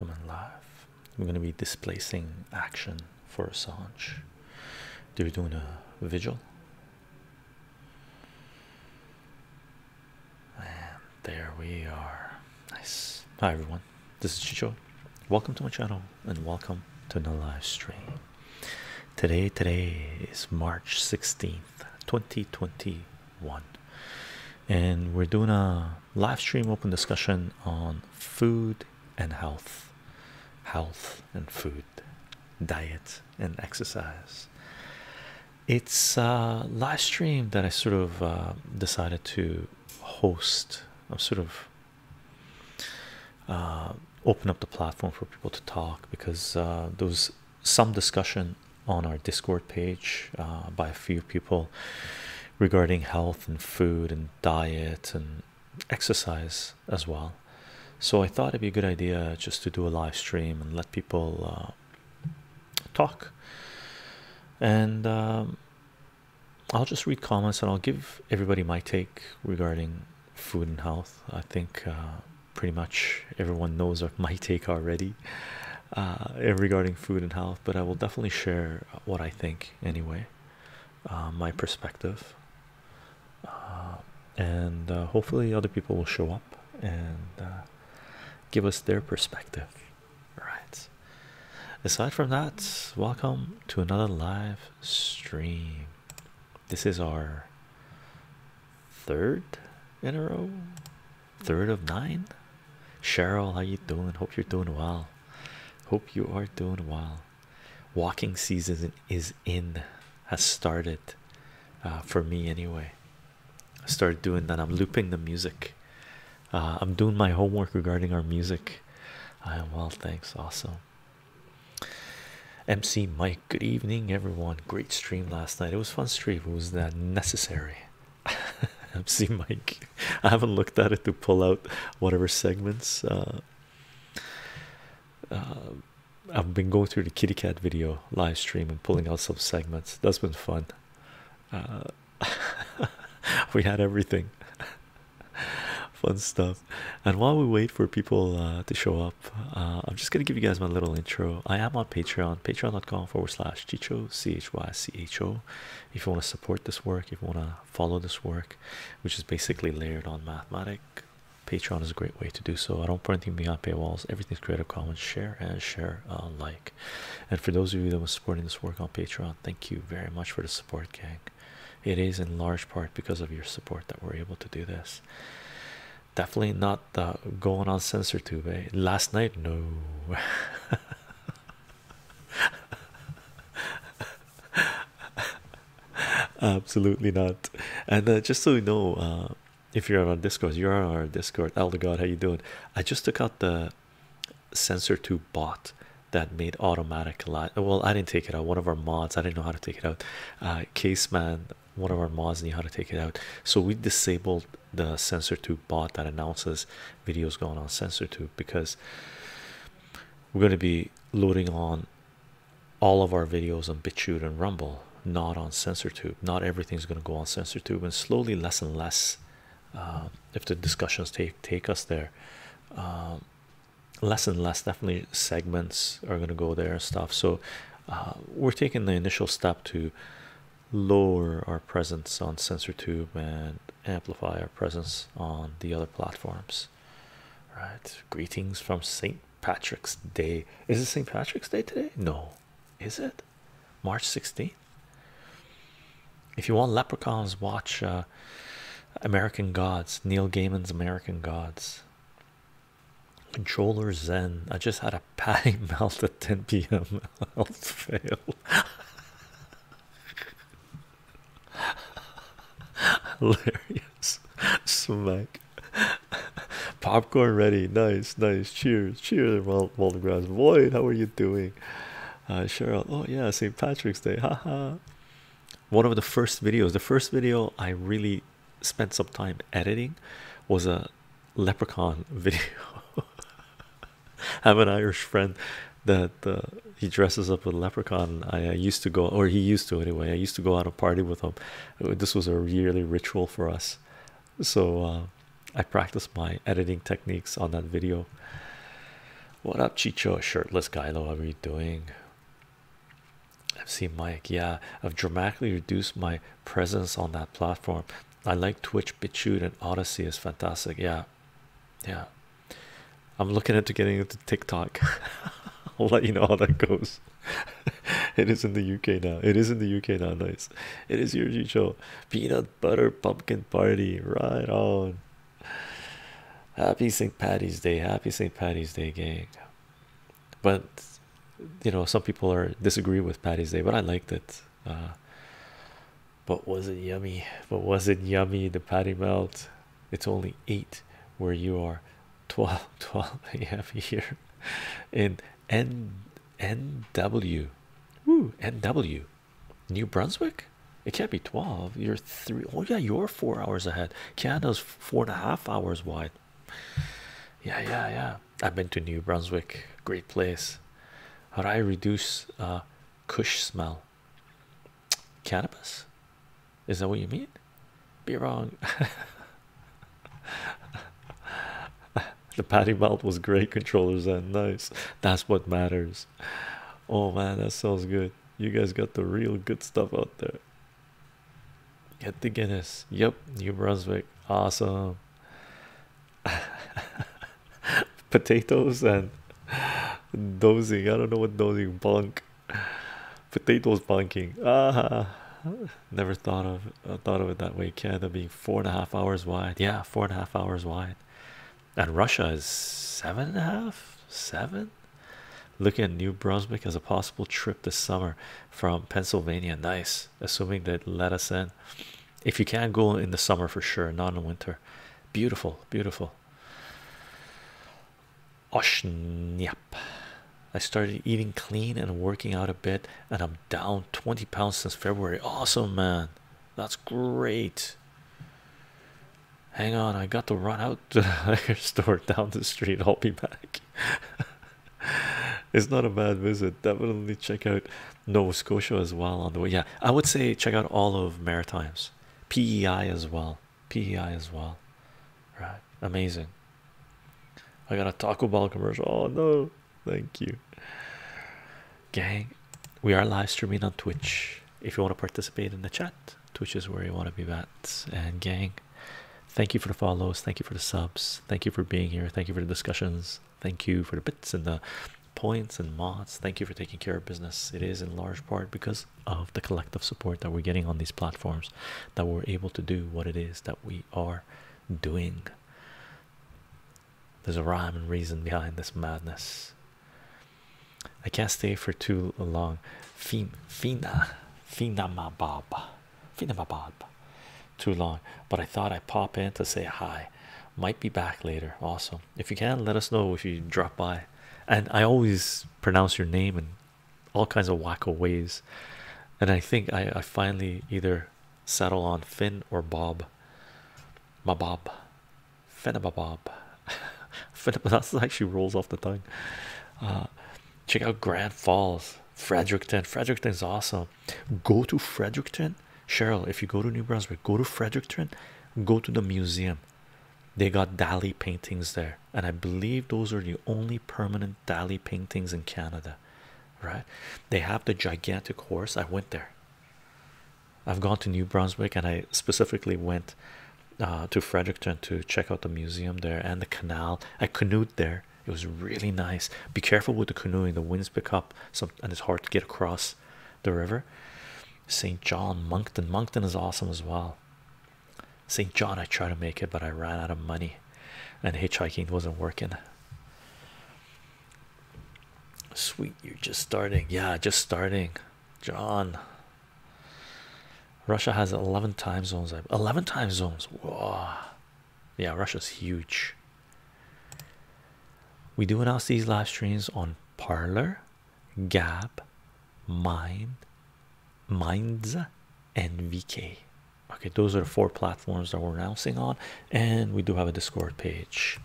Human life. We're going to be displacing action for Assange. They're doing a vigil, and there we are. Nice. Hi everyone. This is Chicho. Welcome to my channel, and welcome to the live stream. Today, today is March sixteenth, twenty twenty one, and we're doing a live stream open discussion on food and health, health and food, diet and exercise. It's a live stream that I sort of uh, decided to host. I'm sort of uh, open up the platform for people to talk because uh, there was some discussion on our Discord page by a few people regarding health and food and diet and exercise as well. So I thought it'd be a good idea just to do a live stream and let people uh, talk. And um, I'll just read comments and I'll give everybody my take regarding food and health. I think uh, pretty much everyone knows my take already uh, regarding food and health, but I will definitely share what I think anyway, uh, my perspective, uh, and uh, hopefully other people will show up and give us their perspective. All right. Aside from that, welcome to another live stream. This is our third in a row, third of nine. Cheryl, how you doing? Hope you're doing well. Hope you are doing well. Walking season is in, has started uh, for me anyway. I started doing that. I'm looping the music. Uh, I'm doing my homework regarding our music. I am well, thanks. Awesome. MC Mike, good evening, everyone. Great stream last night. It was fun stream. It was that uh, necessary MC Mike. I haven't looked at it to pull out whatever segments. Uh, uh, I've been going through the kitty cat video live stream and pulling out some segments. That's been fun. Uh, we had everything. fun stuff. And while we wait for people to show up, I'm just gonna give you guys my little intro. I am on Patreon, patreon.com forward slash chicho c h y c h o if you want to support this work, if you want to follow this work, which is basically layered on mathematic, Patreon is a great way to do so. I don't put anything beyond paywalls, everything's Creative Commons, share and share uh, like. And for those of you that were supporting this work on Patreon, thank you very much for the support, gang. It is in large part because of your support that we're able to do this. Definitely not the going on censor tube. Eh? Last night, no. Absolutely not. And uh, just so you know, uh, if you're on Discord, you're on our Discord. Elder God, how you doing? I just took out the sensor to bot that made automatic light. Well, I didn't take it out. One of our mods, I didn't know how to take it out. Uh, Caseman, one of our mods knew how to take it out. So we disabled the sensor to bot that announces videos going on SensorTube because we're going to be loading on all of our videos on BitChute and Rumble, not on SensorTube. Not everything's going to go on SensorTube, and slowly, less and less, um, if the discussions take take us there, um, less and less definitely segments are going to go there and stuff. So uh, we're taking the initial step to lower our presence on SensorTube and amplify our presence on the other platforms. Right, greetings from St. Patrick's Day. Is it St. Patrick's Day today? No, is it March 16th? If you want leprechauns, watch uh, American Gods, Neil Gaiman's American Gods. Controller Zen. I just had a patty melt at 10 p.m. i fail. Hilarious. Smack. Popcorn ready. Nice, nice. Cheers. Cheers, Waldegrass. Void, how are you doing? Uh, Cheryl, oh yeah, St. Patrick's Day. Haha. One of the first videos, the first video I really spent some time editing was a leprechaun video. I have an Irish friend that uh, he dresses up with leprechaun. I, used to go, or he used to anyway. I used to go out and party with him. Uh, this was a yearly ritual for us. So uh, I practiced my editing techniques on that video. What up, Chicho? Shirtless guy, What are we doing? I've seen Mike. Yeah, I've dramatically reduced my presence on that platform. I like Twitch, BitChute, and Odyssey is fantastic. Yeah, yeah. I'm looking into getting into TikTok. I'll let you know how that goes. it is in the UK now. It is in the UK now. Nice. It is your show. Peanut butter pumpkin party. Right on. Happy St. Patty's Day. Happy St. Patty's Day, gang. But you know, some people are disagree with Patty's Day, but I liked it. Uh, but was it yummy? But was it yummy? The patty melt. It's only eight where you are. 12 12 a.m. here in N N W. Ooh, NW. New Brunswick? It can't be 12. You're three. Oh, yeah, you're four hours ahead. Canada's four and a half hours wide. Yeah, yeah, yeah. I've been to New Brunswick. Great place. How do I reduce a uh, kush smell? cannabis is that what you mean be wrong the patty melt was great controllers and nice that's what matters oh man that sounds good you guys got the real good stuff out there get the guinness yep new brunswick awesome potatoes and dozing. I don't know what dozing bunk. Potatoes bunking. Ah, never thought of uh, thought of it that way. Canada being four and a half hours wide. Yeah, four and a half hours wide, and Russia is seven and a half, seven. Looking at New Brunswick as a possible trip this summer from Pennsylvania. Nice, assuming they let us in. If you can go in the summer for sure, not in winter. Beautiful, beautiful people. Yep. I started eating clean and working out a bit, and I'm down 20 pounds since February. Awesome, man. That's great. Hang on, I got to run out to the liquor store down the street. I'll be back. it's not a bad visit. Definitely check out Nova Scotia as well on the way. Yeah, I would say check out all of Maritimes pei as well pei as well right amazing i got a taco bell commercial oh no thank you gang we are live streaming on twitch if you want to participate in the chat twitch is where you want to be at and gang thank you for the follows thank you for the subs thank you for being here thank you for the discussions thank you for the bits and the points and mods thank you for taking care of business it is in large part because of the collective support that we're getting on these platforms that we're able to do what it is that we are doing there's a rhyme and reason behind this madness i can't stay for too long fina fina fina baba fina ma baba too long but i thought i'd pop in to say hi might be back later Awesome if you can let us know if you drop by and i always pronounce your name in all kinds of wacko ways and i think i, finally either settle on finn or bob my bob Bob. that's actually rolls off the tongue uh, check out grand falls fredericton fredericton's awesome go to fredericton cheryl if you go to new brunswick go to fredericton go to the museum they got dali paintings there and i believe those are the only permanent dali paintings in canada right they have the gigantic horse i went there i've gone to new brunswick and i specifically went uh, to fredericton to check out the museum there and the canal i canoed there it was really nice be careful with the canoeing the winds pick up and it's hard to get across the river St. John, Moncton. Moncton is awesome as well. St. John, I tried to make it, but I ran out of money and hitchhiking wasn't working. Sweet, you're just starting. Yeah, just starting. John. Russia has 11 time zones. 11 time zones. Whoa. Yeah, Russia's huge. We do announce these live streams on Parlor, Gab, Mind, Minds, and VK. Okay, those are the four platforms that we're announcing on, and we do have a Discord page.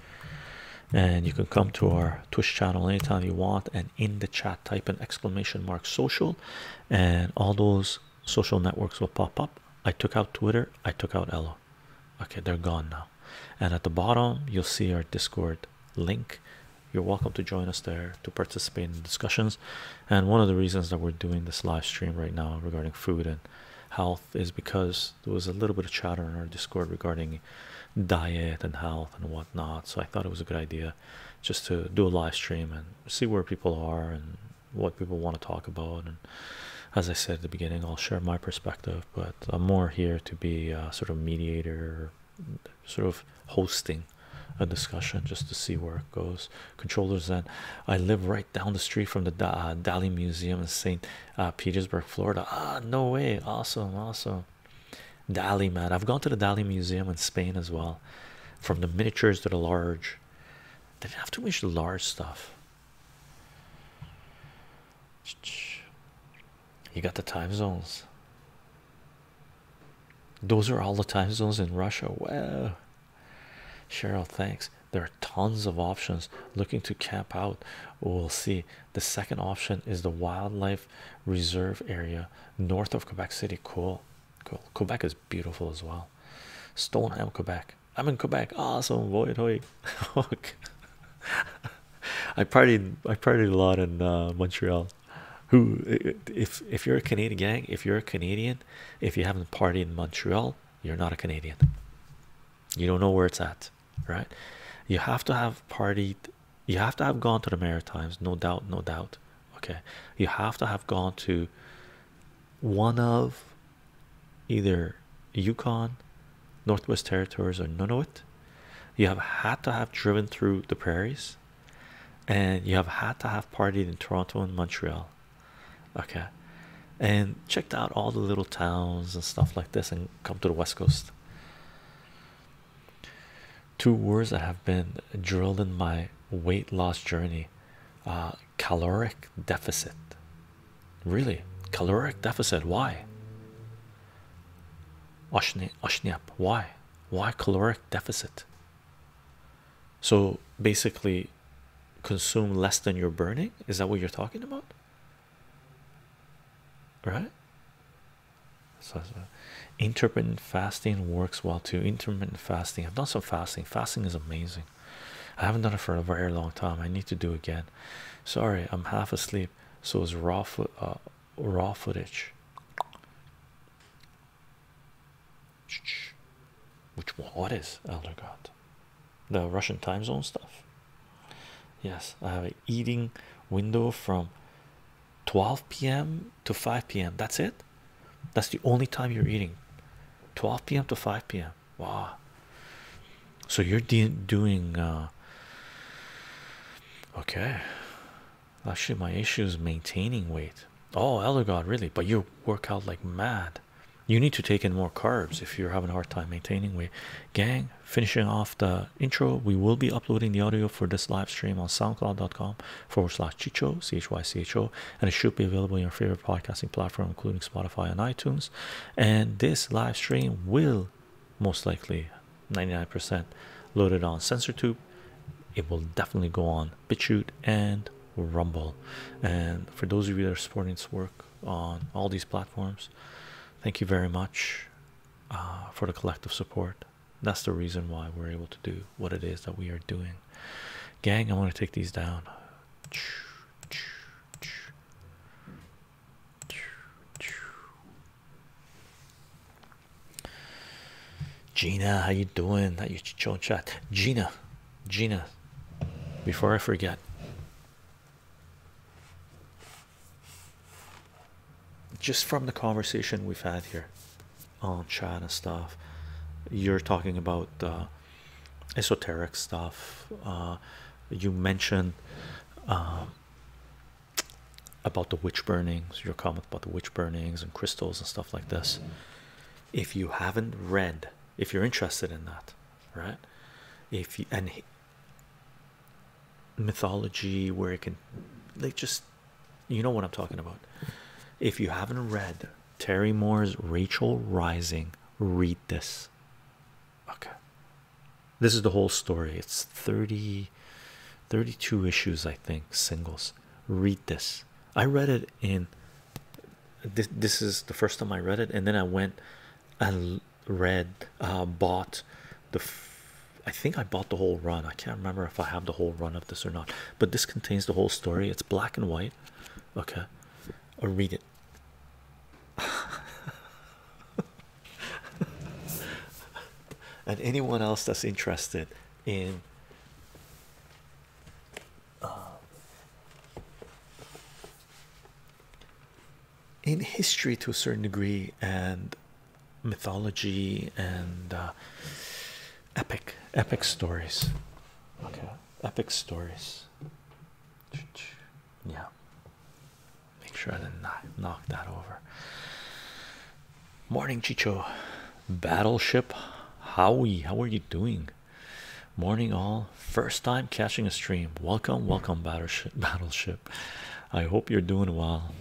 And you can come to our Twitch channel anytime you want, and in the chat, type an exclamation mark social, and all those social networks will pop up. I took out Twitter, I took out Ello. Okay, they're gone now and at the bottom you'll see our discord link you're welcome to join us there to participate in discussions and one of the reasons that we're doing this live stream right now regarding food and health is because there was a little bit of chatter in our discord regarding diet and health and whatnot so i thought it was a good idea just to do a live stream and see where people are and what people want to talk about and as i said at the beginning i'll share my perspective but i'm more here to be a sort of mediator sort of hosting a discussion just to see where it goes. Controllers and I live right down the street from the uh, Dali Museum in St. Uh, Petersburg, Florida. Ah, no way! Awesome, awesome. Dali, man, I've gone to the Dali Museum in Spain as well. From the miniatures to the large, they didn't have too much large stuff. You got the time zones. Those are all the time zones in Russia. Wow. Cheryl, thanks. There are tons of options looking to camp out. We'll see. The second option is the wildlife reserve area north of Quebec City. Cool. Cool. Quebec is beautiful as well. Stoneham, Quebec. I'm in Quebec. Awesome. Void I party. I partied a lot in uh, Montreal. Who if if you're a Canadian gang, if you're a Canadian, if you haven't party in Montreal, you're not a Canadian. You don't know where it's at, right? You have to have partied you have to have gone to the Maritimes, no doubt, no doubt. Okay. You have to have gone to one of either Yukon, Northwest Territories, or Nunavut you have had to have driven through the prairies, and you have had to have partied in Toronto and Montreal. Okay, and checked out all the little towns and stuff like this, and come to the west coast. Two words that have been drilled in my weight loss journey caloric deficit. Really? Caloric deficit. Why? Ashniap. Why? Why caloric deficit? So basically, consume less than you're burning. Is that what you're talking about? Right? So, so intermittent fasting works well too. Intermittent fasting. I've done some fasting. Fasting is amazing. I haven't done it for a very long time. I need to do again. Sorry, I'm half asleep. So is raw food, uh, raw footage. Which one? What is Elder God? The Russian time zone stuff. Yes, I have a eating window from 12 p.m. to 5 p.m. That's it. That's the only time you're eating. 12 p.m. to 5 p.m. Wow. So you're doing uh, Okay, actually, my issue is maintaining weight. Oh, elder god, really? But you work out like mad. You need to take in more carbs if you're having a hard time maintaining weight. Gang, finishing off the intro, we will be uploading the audio for this live stream on soundcloud.com forward slash chicho, C H Y C H O, and it should be available in your favorite podcasting platform, including Spotify and iTunes. And this live stream will most likely 99% loaded on sensor tube it will definitely go on BitChute and Rumble and for those of you that are supporting this work on all these platforms thank you very much uh, for the collective support that's the reason why we're able to do what it is that we are doing gang I want to take these down Gina, how you doing? That you chow chow, Gina, Gina. Before I forget, just from the conversation we've had here on chat and stuff, you're talking about uh, esoteric stuff. Uh, you mentioned um, about the witch burnings, your comment about the witch burnings and crystals and stuff like this. If you haven't read, if you're interested in that, right? If you and mythology, where it can they just you know what I'm talking about. If you haven't read Terry Moore's Rachel Rising, read this. Okay, this is the whole story. It's 30 32 issues, I think, singles. Read this. I read it in this this is the first time I read it and then I went and read uh, bought the I think I bought the whole run. I can't remember if I have the whole run of this or not, but this contains the whole story. It's black and white. Okay, or read it. and anyone else that's interested in um, in history to a certain degree and mythology and uh, epic epic stories okay epic stories yeah Make sure I didn't knock that over. Morning, Chicho. Battleship Howie, how are you doing? Morning, all. First time catching a stream. Welcome, welcome, battleship. Battleship. I hope you're doing well.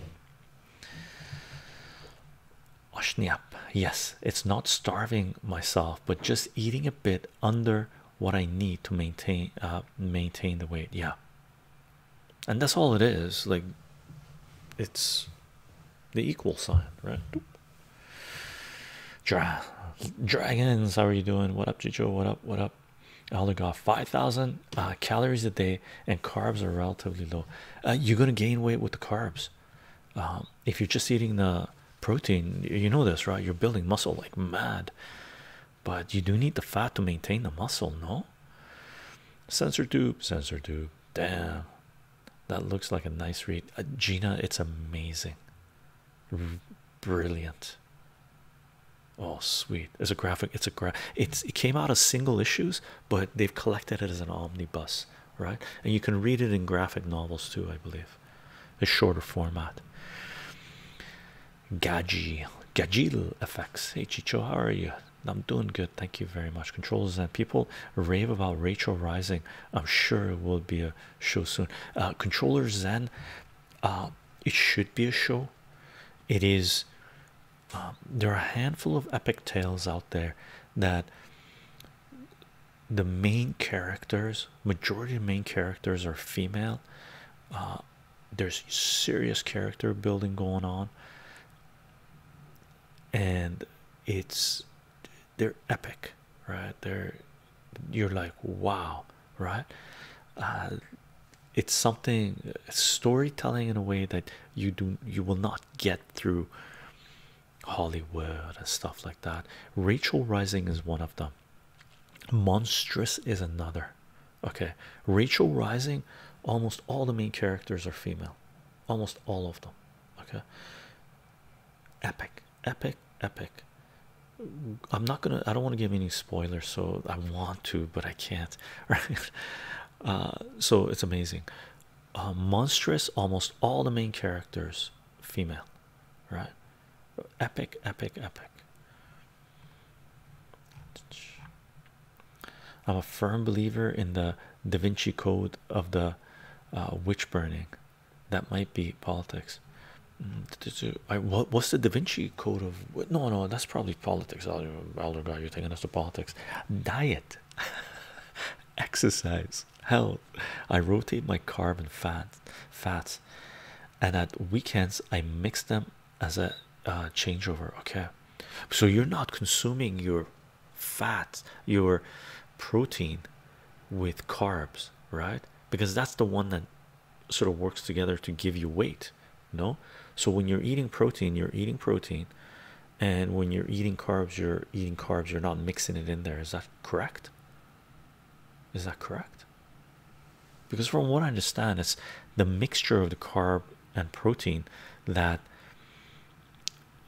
Oshniap, yes, it's not starving myself, but just eating a bit under what I need to maintain uh, maintain the weight. Yeah, and that's all it is like it's the equal sign right Dra dragons how are you doing what up Jijo what up what up I God, 5,000 uh, calories a day and carbs are relatively low uh, you're gonna gain weight with the carbs um, if you're just eating the protein you know this right you're building muscle like mad but you do need the fat to maintain the muscle no Sensor Dupe, sensor Dupe. Damn, that looks like a nice read. Uh, Gina, it's amazing. brilliant. Oh, sweet. It's a graphic. It's a graph. It's it came out as single issues, but they've collected it as an omnibus, right? And you can read it in graphic novels too, I believe. A shorter format. Gagil, Gajil. effects. Hey Chicho, how are you? I'm doing good, thank you very much. Controllers and people rave about Rachel Rising. I'm sure it will be a show soon. Uh, controllers Zen, uh, it should be a show. It is. Um, there are a handful of epic tales out there that the main characters, majority of main characters, are female. Uh, there's serious character building going on and it's they're epic right they're you're like wow right uh, it's something storytelling in a way that you do you will not get through Hollywood and stuff like that Rachel Rising is one of them monstrous is another Okay, Rachel Rising, almost all the main characters are female, almost all of them. Okay, epic, epic, epic. I'm not gonna, I don't want to give any spoilers, so I want to, but I can't, right? Uh, so it's amazing. Uh, monstrous, almost all the main characters female, right? Epic, epic, epic. I'm a firm believer in the Da Vinci Code of the uh, witch burning. That might be politics. Mm, what what's the Da Vinci Code of? No, no, that's probably politics. Elder God, you're thinking us to politics. Diet, exercise, health. I rotate my carb and fat, fats, and at weekends I mix them as a uh, changeover okay so you're not consuming your fat your protein with carbs right because that's the one that sort of works together to give you weight no so when you're eating protein you're eating protein and when you're eating carbs you're eating carbs you're not mixing it in there is that correct is that correct because from what i understand it's the mixture of the carb and protein that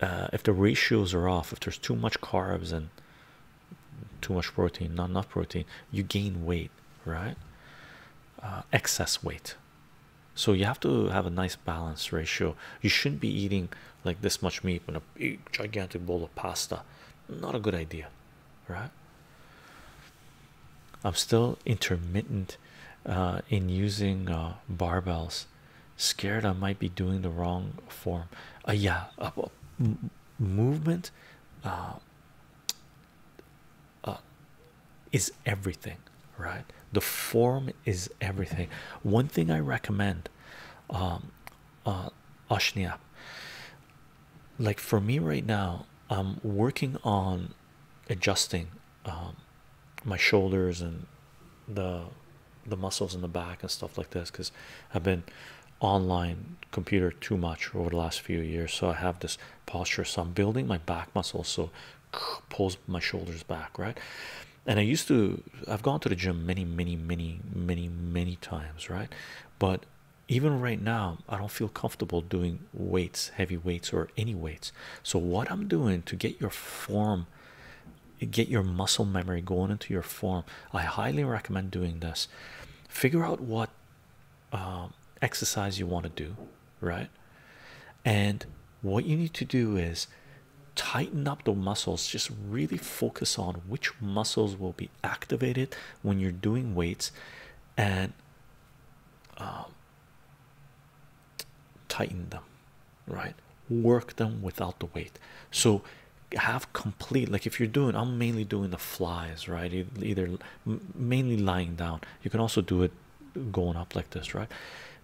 uh, if the ratios are off, if there's too much carbs and too much protein, not enough protein, you gain weight, right? Uh, excess weight. So you have to have a nice balance ratio. You shouldn't be eating like this much meat and a big gigantic bowl of pasta. Not a good idea, right? I'm still intermittent uh, in using uh, barbells scared i might be doing the wrong form uh, yeah movement is everything right the form is everything one thing i recommend um like for me right now i'm working on adjusting um, my shoulders and the the muscles in the back and stuff like this because I've been online computer too much over the last few years so I have this posture so I'm building my back muscles so pulls my shoulders back right and I used to I've gone to the gym many many many many many times right but even right now I don't feel comfortable doing weights heavy weights or any weights so, what I'm doing to get your form, get your muscle memory going into your form, I highly recommend doing this. Figure out what um, exercise you want to do, right? And what you need to do is tighten up the muscles, just really focus on which muscles will be activated when you're doing weights and. Um, tighten them right work them without the weight so have complete like if you're doing i'm mainly doing the flies right either mainly lying down you can also do it going up like this right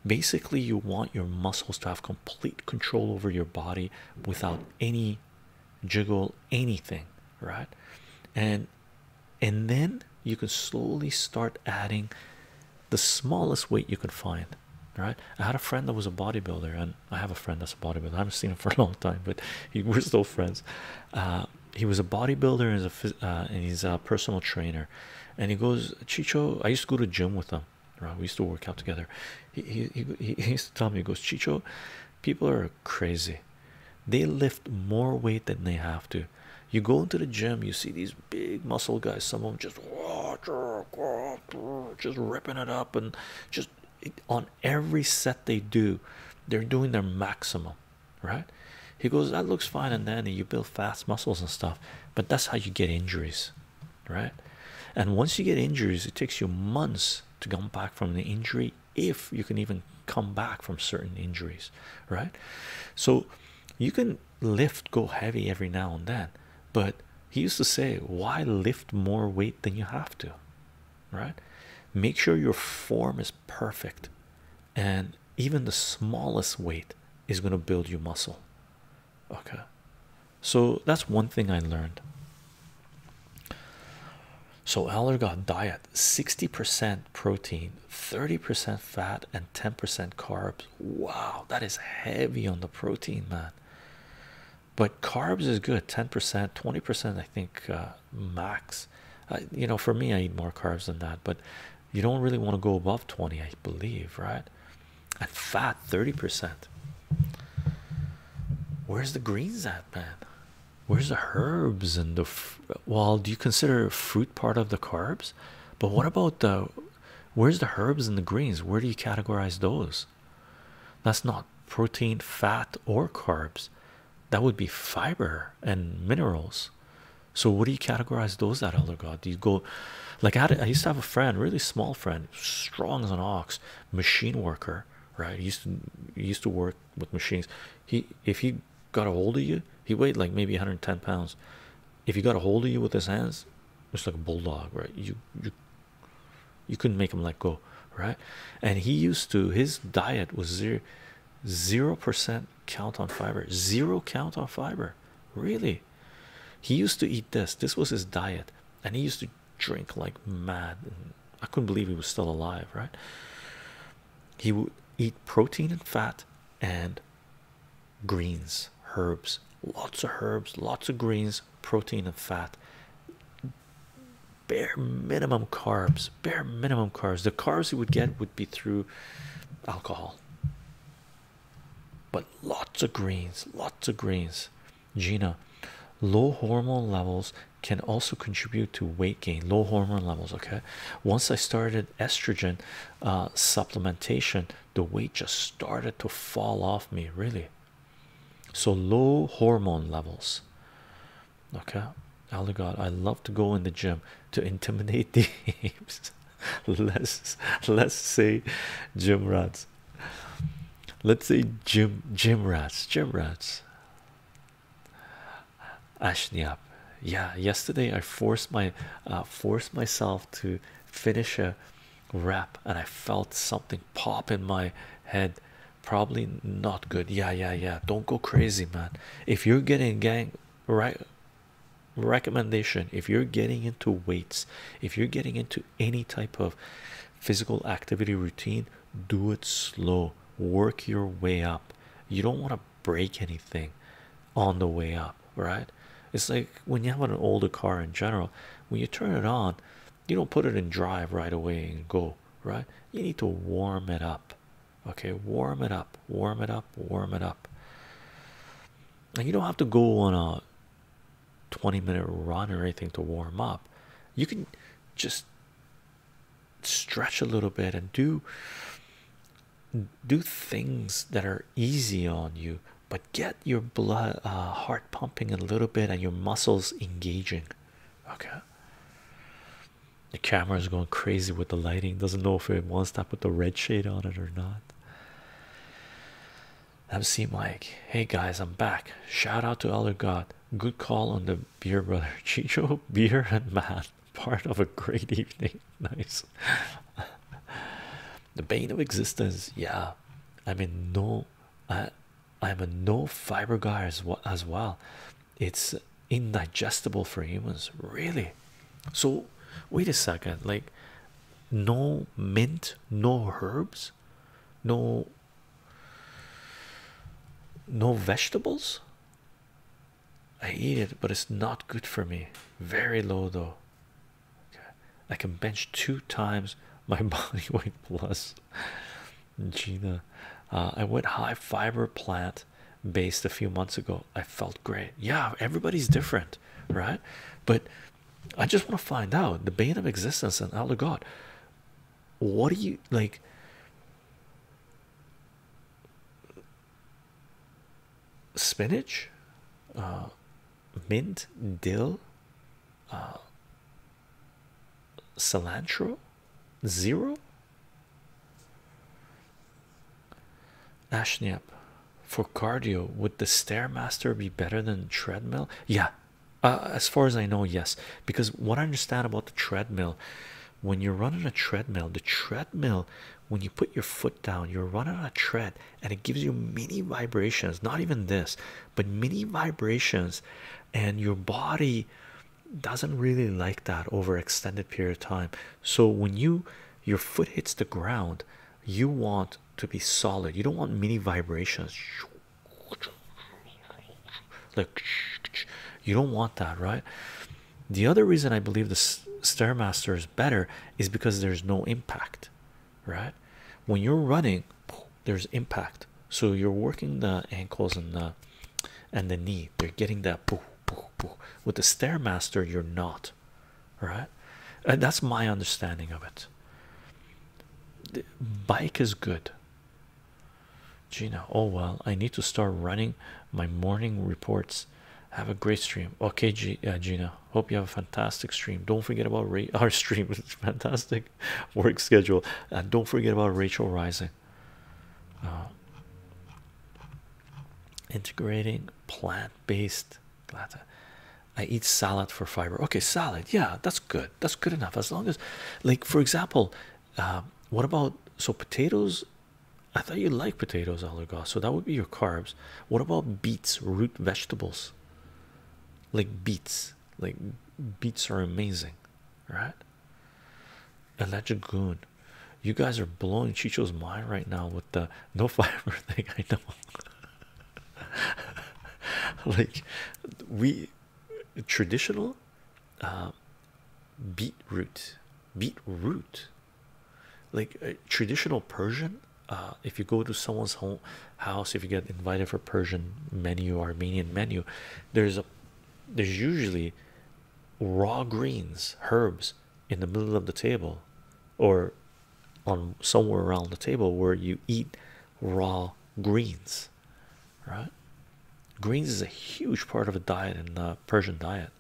basically you want your muscles to have complete control over your body without any jiggle anything right and and then you can slowly start adding the smallest weight you could find right i had a friend that was a bodybuilder and i have a friend that's a bodybuilder i haven't seen him for a long time but we're still friends uh, he was a bodybuilder uh, and, he's a, personal trainer and he goes chicho i used to go to gym with him right we used to work out together he, he, he used to tell me he goes chicho people are crazy they lift more weight than they have to you go into the gym you see these big muscle guys some of them just just ripping it up and just on every set they do they're doing their maximum right he goes that looks fine and then you build fast muscles and stuff but that's how you get injuries right and once you get injuries it takes you months to come back from the injury if you can even come back from certain injuries right so you can lift go heavy every now and then, but he used to say, Why lift more weight than you have to? Right? Make sure your form is perfect, and even the smallest weight is going to build you muscle. Okay, so that's one thing I learned. So Eller diet 60% protein, 30% fat, and 10% carbs. Wow, that is heavy on the protein, man. But carbs is good 10%, 20%, I think, uh, max. you know, for me, I eat more carbs than that, but you don't really want to go above 20, I believe, right? And fat 30%. Where's the greens at, man? Where's the herbs and the well? Do you consider fruit part of the carbs? But what about the where's the herbs and the greens? Where do you categorize those? That's not protein, fat, or carbs. That would be fiber and minerals. So what do you categorize those at, Elder God? Do you go like I, used to have a friend, really small friend, strong as an ox, machine worker, right? He used to used to work with machines. He if he got a hold of you, he weighed like maybe 110 pounds if he got a hold of you with his hands, it's like a bulldog, right? You you you couldn't make him let go, right? And he used to his diet was zero zero percent count on fiber, zero count on fiber. Really, he used to eat this. This was his diet, and he used to drink like mad. I couldn't believe he was still alive, right? He would eat protein and fat and greens, herbs, lots of herbs, lots of greens, protein and fat, bare minimum carbs, bare minimum carbs. The carbs you would get would be through alcohol, but lots of greens, lots of greens. Gina, low hormone levels can also contribute to weight gain low hormone levels okay once i started estrogen uh, supplementation the weight just started to fall off me, really. So low hormone levels. Okay, Allah God, I love to go in the gym to intimidate the apes. let's let's say gym rats. Let's say gym gym rats, gym rats. Ashniap, yeah yesterday i forced my uh, forced myself to finish a rep, and i felt something pop in my head probably not good yeah yeah yeah don't go crazy man if you're getting gang right recommendation if you're getting into weights if you're getting into any type of physical activity routine do it slow work your way up you don't want to break anything on the way up, right? It's like when you have an older car in general, when you turn it on, you don't put it in drive right away and go, right? You need to warm it up, okay? Warm it up, warm it up, warm it up. And you don't have to go on a 20 minute run or anything to warm up. You can just stretch a little bit and do do things that are easy on you but get your blood uh, heart pumping a little bit and your muscles engaging okay the camera is going crazy with the lighting doesn't know if it wants to put the red shade on it or not mc like, hey guys i'm back shout out to elder god good call on the beer brother chicho beer and man part of a great evening nice the bane of existence, yeah. I mean, no, I, I'm a no fiber guy as, as well. It's indigestible for humans, really. So, wait a second, like, no mint, no herbs, no, no vegetables. I eat it, but it's not good for me. Very low, though. Okay, I can bench two times my body weight plus. Gina, uh, I went high fiber plant based a few months ago. I felt great. Yeah, everybody's different, right? But I just want to find out the bane of existence and out of God. What do you like? spinach, uh, mint, dill, uh, cilantro, zero. Ashniap, for cardio, would the Stairmaster be better than treadmill? Yeah, uh, as far as I know, yes. Because what I understand about the treadmill, when you're running a treadmill, the treadmill, when you put your foot down, you run on a tread, and it gives you mini vibrations, not even this, but mini vibrations, and your body doesn't really like that over extended period of time. So when you your foot hits the ground, you want to be solid. You don't want mini vibrations. Like you don't want that, right? The other reason I believe the Stairmaster is better is because there's no impact, right? When you're running, there's impact, so you're working the ankles and the and the knee. They're getting that with the stairmaster. You're not, right? that's my understanding of it. The bike is good. Gina, oh well, I need to start running my morning reports. Have a great stream. Okay, uh, Gina, Hope you have a fantastic stream. Don't forget about our stream. It's fantastic work schedule. And don't forget about Rachel Rising. Uh, integrating plant-based I eat salad for fiber. Okay, salad. Yeah, that's good. That's good enough. As long as, like, for example, uh, what about so potatoes? I thought you like potatoes, Oligar. So that would be your carbs. What about beets, root vegetables? Like beets, like beets are amazing, right? And that goon, you guys are blowing Chicho's mind right now with the no fiber thing. I know, like we traditional uh, beetroot, beetroot like uh, traditional Persian. Uh, if you go to someone's home house, if you get invited for Persian menu, Armenian menu, there's there's usually raw greens, herbs in the middle of the table, or on somewhere around the table where you eat raw greens, right? Greens is a huge part of a diet in the Persian diet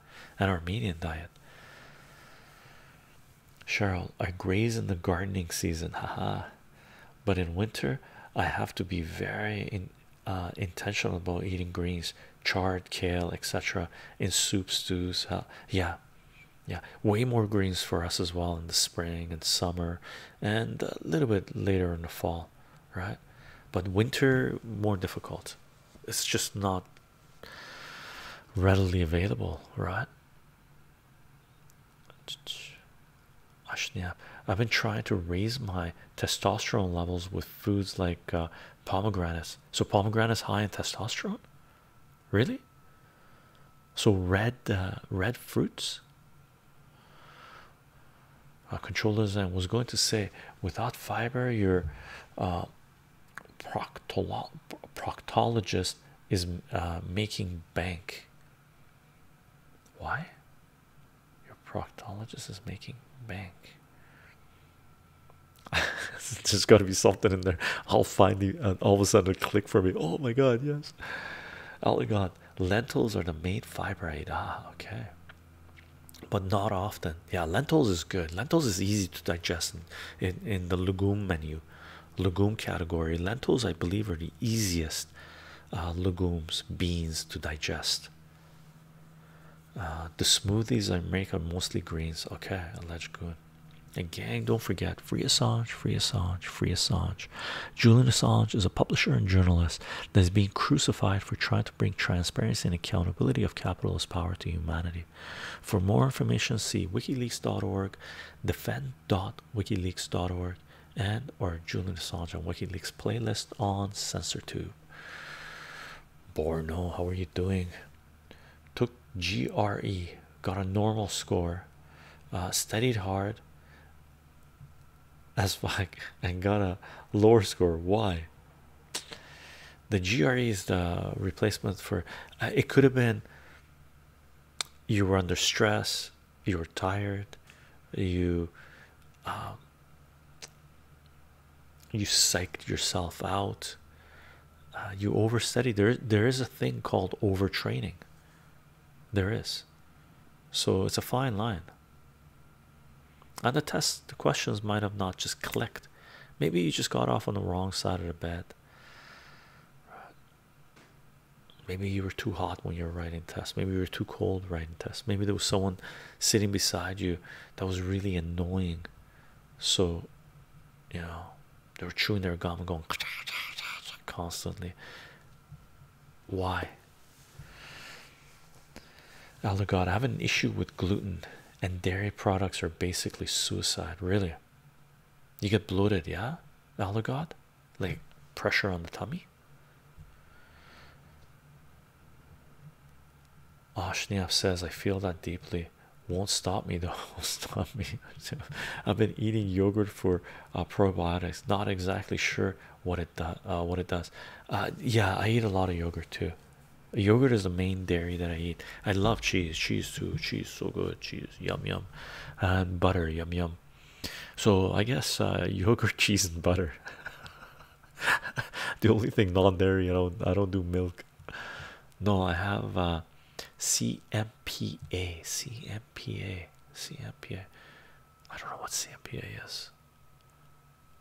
and Armenian diet. Cheryl, I graze in the gardening season, haha. But in winter, I have to be very uh, intentional about eating greens, chard, kale, etc. In soup, stews, yeah, yeah, way more greens for us as well in the spring and summer, and a little bit later in the fall, right? But winter more difficult. It's just not readily available, right? Yeah, I've been trying to raise my testosterone levels with foods like uh, pomegranates. So pomegranates high in testosterone, really. So red, uh, red fruits. Our uh, controllers was going to say, without fiber, your uh, proctologist is uh, making bank. Why? Your proctologist is making bank. There's got to be something in there. I'll find you, uh, and all of a sudden, click for me. Oh my god, yes! Oh my god, lentils are the main fiber aid. Ah, okay, but not often. Yeah, lentils is good. Lentils is easy to digest in, in the legume menu legume category lentils i believe are the easiest uh, legumes beans to digest uh, the smoothies i make are mostly greens okay alleged good and gang don't forget free assange free assange free assange julian assange is a publisher and journalist that is being crucified for trying to bring transparency and accountability of capitalist power to humanity for more information, see wikileaks.org, defend.wikileaks.org, and or Julian Assange on WikiLeaks playlist on CensorTube. Borno, how are you doing? Took GRE, got a normal score, uh, studied hard as fuck, and got a lower score. Why? The GRE is the replacement for uh, it could have been you were under stress, you were tired, you um, you psyched yourself out, uh, you overstudied. There, there is a thing called overtraining. There is, so it's a fine line. And the test, the questions might have not just clicked. Maybe you just got off on the wrong side of the bed. Maybe you were too hot when you were writing tests. Maybe you were too cold writing tests. Maybe there was someone sitting beside you that was really annoying. So, you know, they were chewing their gum and going constantly. Why? Oh my God, I have an issue with gluten and dairy products are basically suicide. Really? You get bloated, yeah? Allergod? Like pressure on the tummy? Ashniap says, I feel that deeply. Won't stop me though. Won't stop me. I've been eating yogurt for uh, probiotics. Not exactly sure what it does. Uh, what it does. Uh, yeah, I eat a lot of yogurt too. Yogurt is the main dairy that I eat. I love cheese. Cheese too. Cheese so good. Cheese cheese yum yum and butter yum yum so i guess uh, yogurt cheese and butter the only thing non-dairy you know i don't do milk no i have uh, C M P A don't know what cmpa is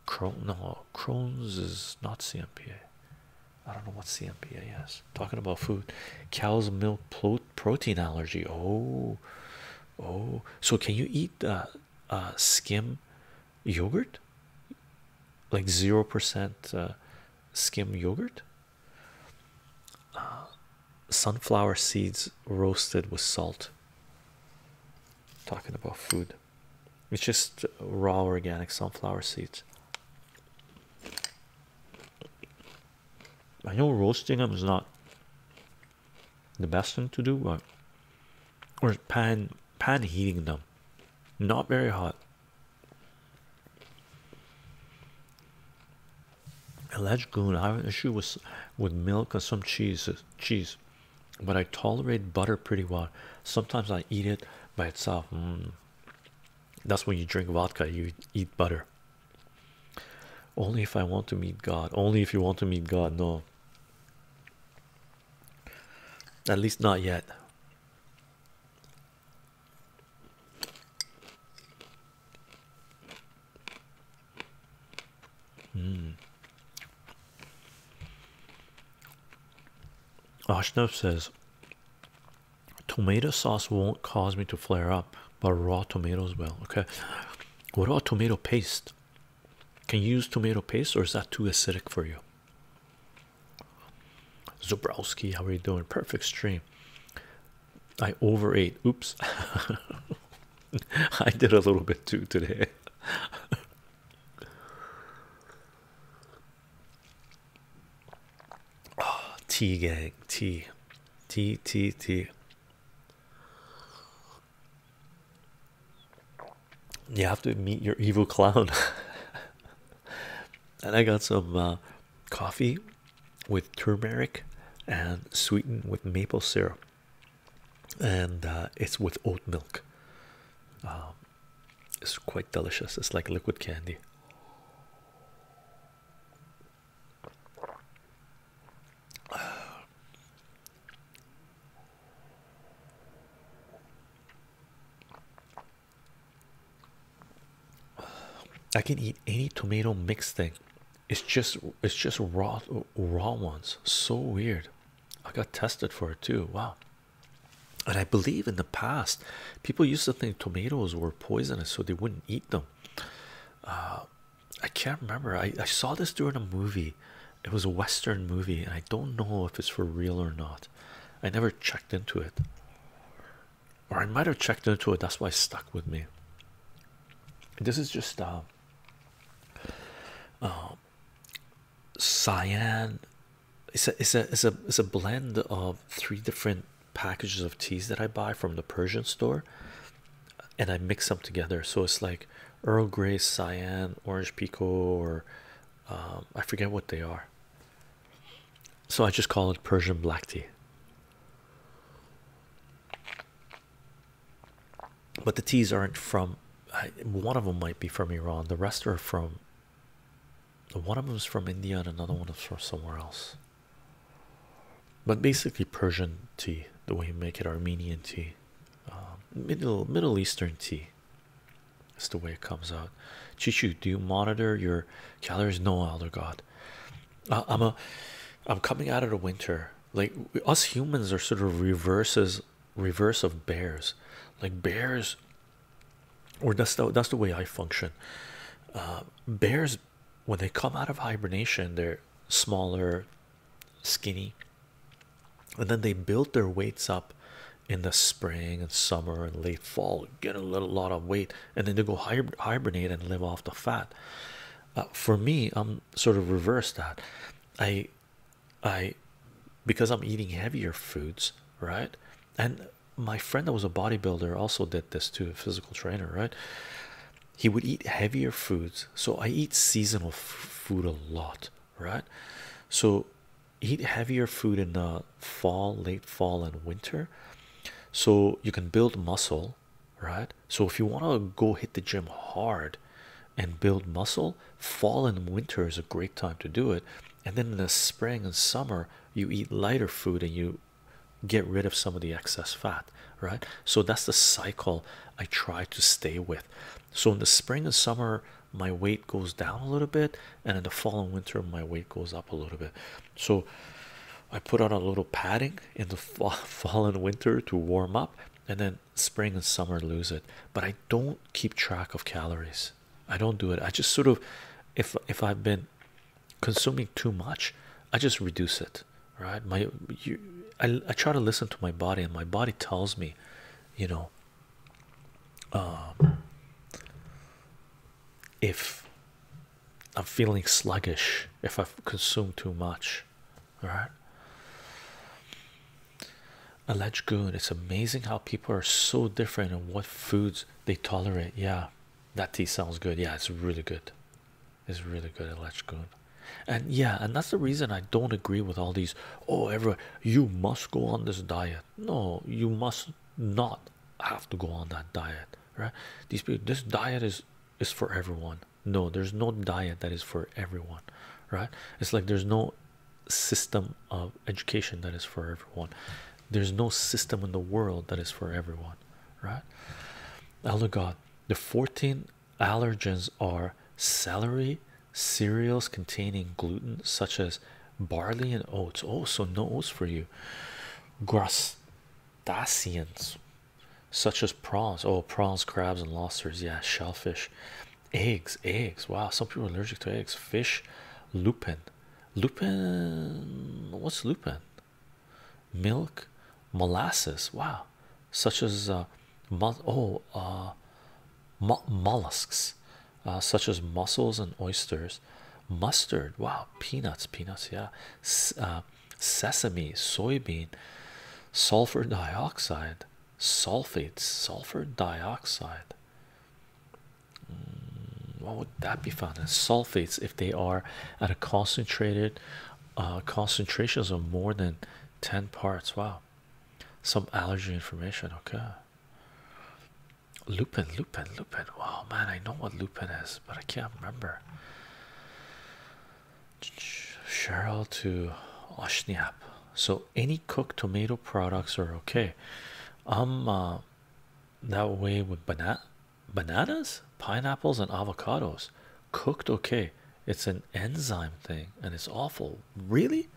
Cron no Crohn's is not cmpa I don't know what CMPA is. Talking about food, cow's milk protein allergy. Oh, oh. So can you eat uh, uh skim yogurt? Like zero percent uh, skim yogurt. Uh, sunflower seeds roasted with salt. Talking about food, it's just raw organic sunflower seeds. I know roasting them is not the best thing to do, but or pan pan heating them, not very hot. Alleged goon, I have an issue with with milk and some cheese cheese, but I tolerate butter pretty well. Sometimes I eat it by itself. Mm. That's when you drink vodka, you eat butter. Only if I want to meet God, only if you want to meet God. No, at least not yet. Mm. Ashnav says, tomato sauce won't cause me to flare up, but raw tomatoes will. Okay, what about tomato paste? Can you use tomato paste, or is that too acidic for you? Zubrowski, how are you doing? Perfect stream. I overate. Oops, I did a little bit too today. Oh, gang, tea, tea, tea, tea. You have to meet your evil clown. and I got some uh, coffee with turmeric and sweetened with maple syrup, and uh, it's with oat milk. Um, it's quite delicious. It's like liquid candy. I can eat any tomato mixed thing. It's just it's just raw raw ones. So weird. I got tested for it too. Wow. And I believe in the past people used to think tomatoes were poisonous, so they wouldn't eat them. Uh, I can't remember. I, I saw this during a movie. It was a Western movie, and I don't know if it's for real or not. I never checked into it, or I might have checked into it. That's why it stuck with me. This is just uh, uh cyan. It's a it's a it's a it's a blend of three different packages of teas that I buy from the Persian store and I mix them together. So it's like Earl Grey, Cyan, Orange Pico, or um, I forget what they are. So I just call it Persian black tea. But the teas aren't from, one of them might be from Iran, the rest are from. One of them is from India and another one is from somewhere else but basically Persian tea, the way you make it, Armenian tea, um, Middle Middle Eastern tea. That's the way it comes out. Chichu, do you monitor your calories? No, Elder God. Uh, I'm a, I'm coming out of the winter. Like us humans are sort of reverses, reverse of bears. Like bears, or that's the that's the way I function. Uh, bears when they come out of hibernation, they're smaller, skinny, and then they build their weights up in the spring and summer and late fall, get a little lot of weight, and then they go hibernate and live off the fat. Uh, for me, I'm sort of reverse that. I, I, because I'm eating heavier foods, right? And my friend that was a bodybuilder also did this too, a physical trainer, right? He would eat heavier foods, so I eat seasonal food a lot, right? So, eat heavier food in the fall, late fall, and winter, so you can build muscle, right? So, if you want to go hit the gym hard and build muscle, fall and winter is a great time to do it, and then in the spring and summer, you eat lighter food and you get rid of some of the excess fat, right? So that's the cycle I try to stay with. So in the spring and summer, my weight goes down a little bit, and in the fall and winter, my weight goes up a little bit. So I put on a little padding in the fall, and winter to warm up, and then spring and summer lose it. But I don't keep track of calories. I don't do it. I just sort of, if if I've been consuming too much i just reduce it right my you I, I try to listen to my body and my body tells me you know um, if i'm feeling sluggish if i've consumed too much all right alleged good it's amazing how people are so different in what foods they tolerate yeah that tea sounds good. Yeah, it's really good. It's really good, good. And yeah, and that's the reason I don't agree with all these. Oh, everyone, you must go on this diet. No, you must not have to go on that diet, right? These people, this diet is is for everyone. No, there's no diet that is for everyone, right? It's like there's no system of education that is for everyone. There's no system in the world that is for everyone, right? Elder God, the 14 allergens are celery, cereals containing gluten, such as barley and oats. Oh, so no oats for you. daceans, such as prawns. Oh, prawns, crabs, and lobsters. Yeah, shellfish, eggs, eggs. Wow, some people are allergic to eggs. Fish, lupin. Lupin, what's lupin? milk molasses wow such as uh, oh uh, mollusks uh, such as mussels and oysters mustard wow peanuts peanuts yeah sesame soybean sulfur dioxide sulfates sulfur dioxide mm, what that be found in sulfates if they are at a concentrated uh, concentrations of more than 10 parts? Wow, some allergy information. Okay, lupin, lupin, lupin. Wow, man, I know what lupin is, but I can't remember. Cheryl to Oshniap. So, any cooked tomato products are okay. Um. Uh, that way with banana bananas pineapples and avocados cooked okay it's an enzyme thing and it's awful really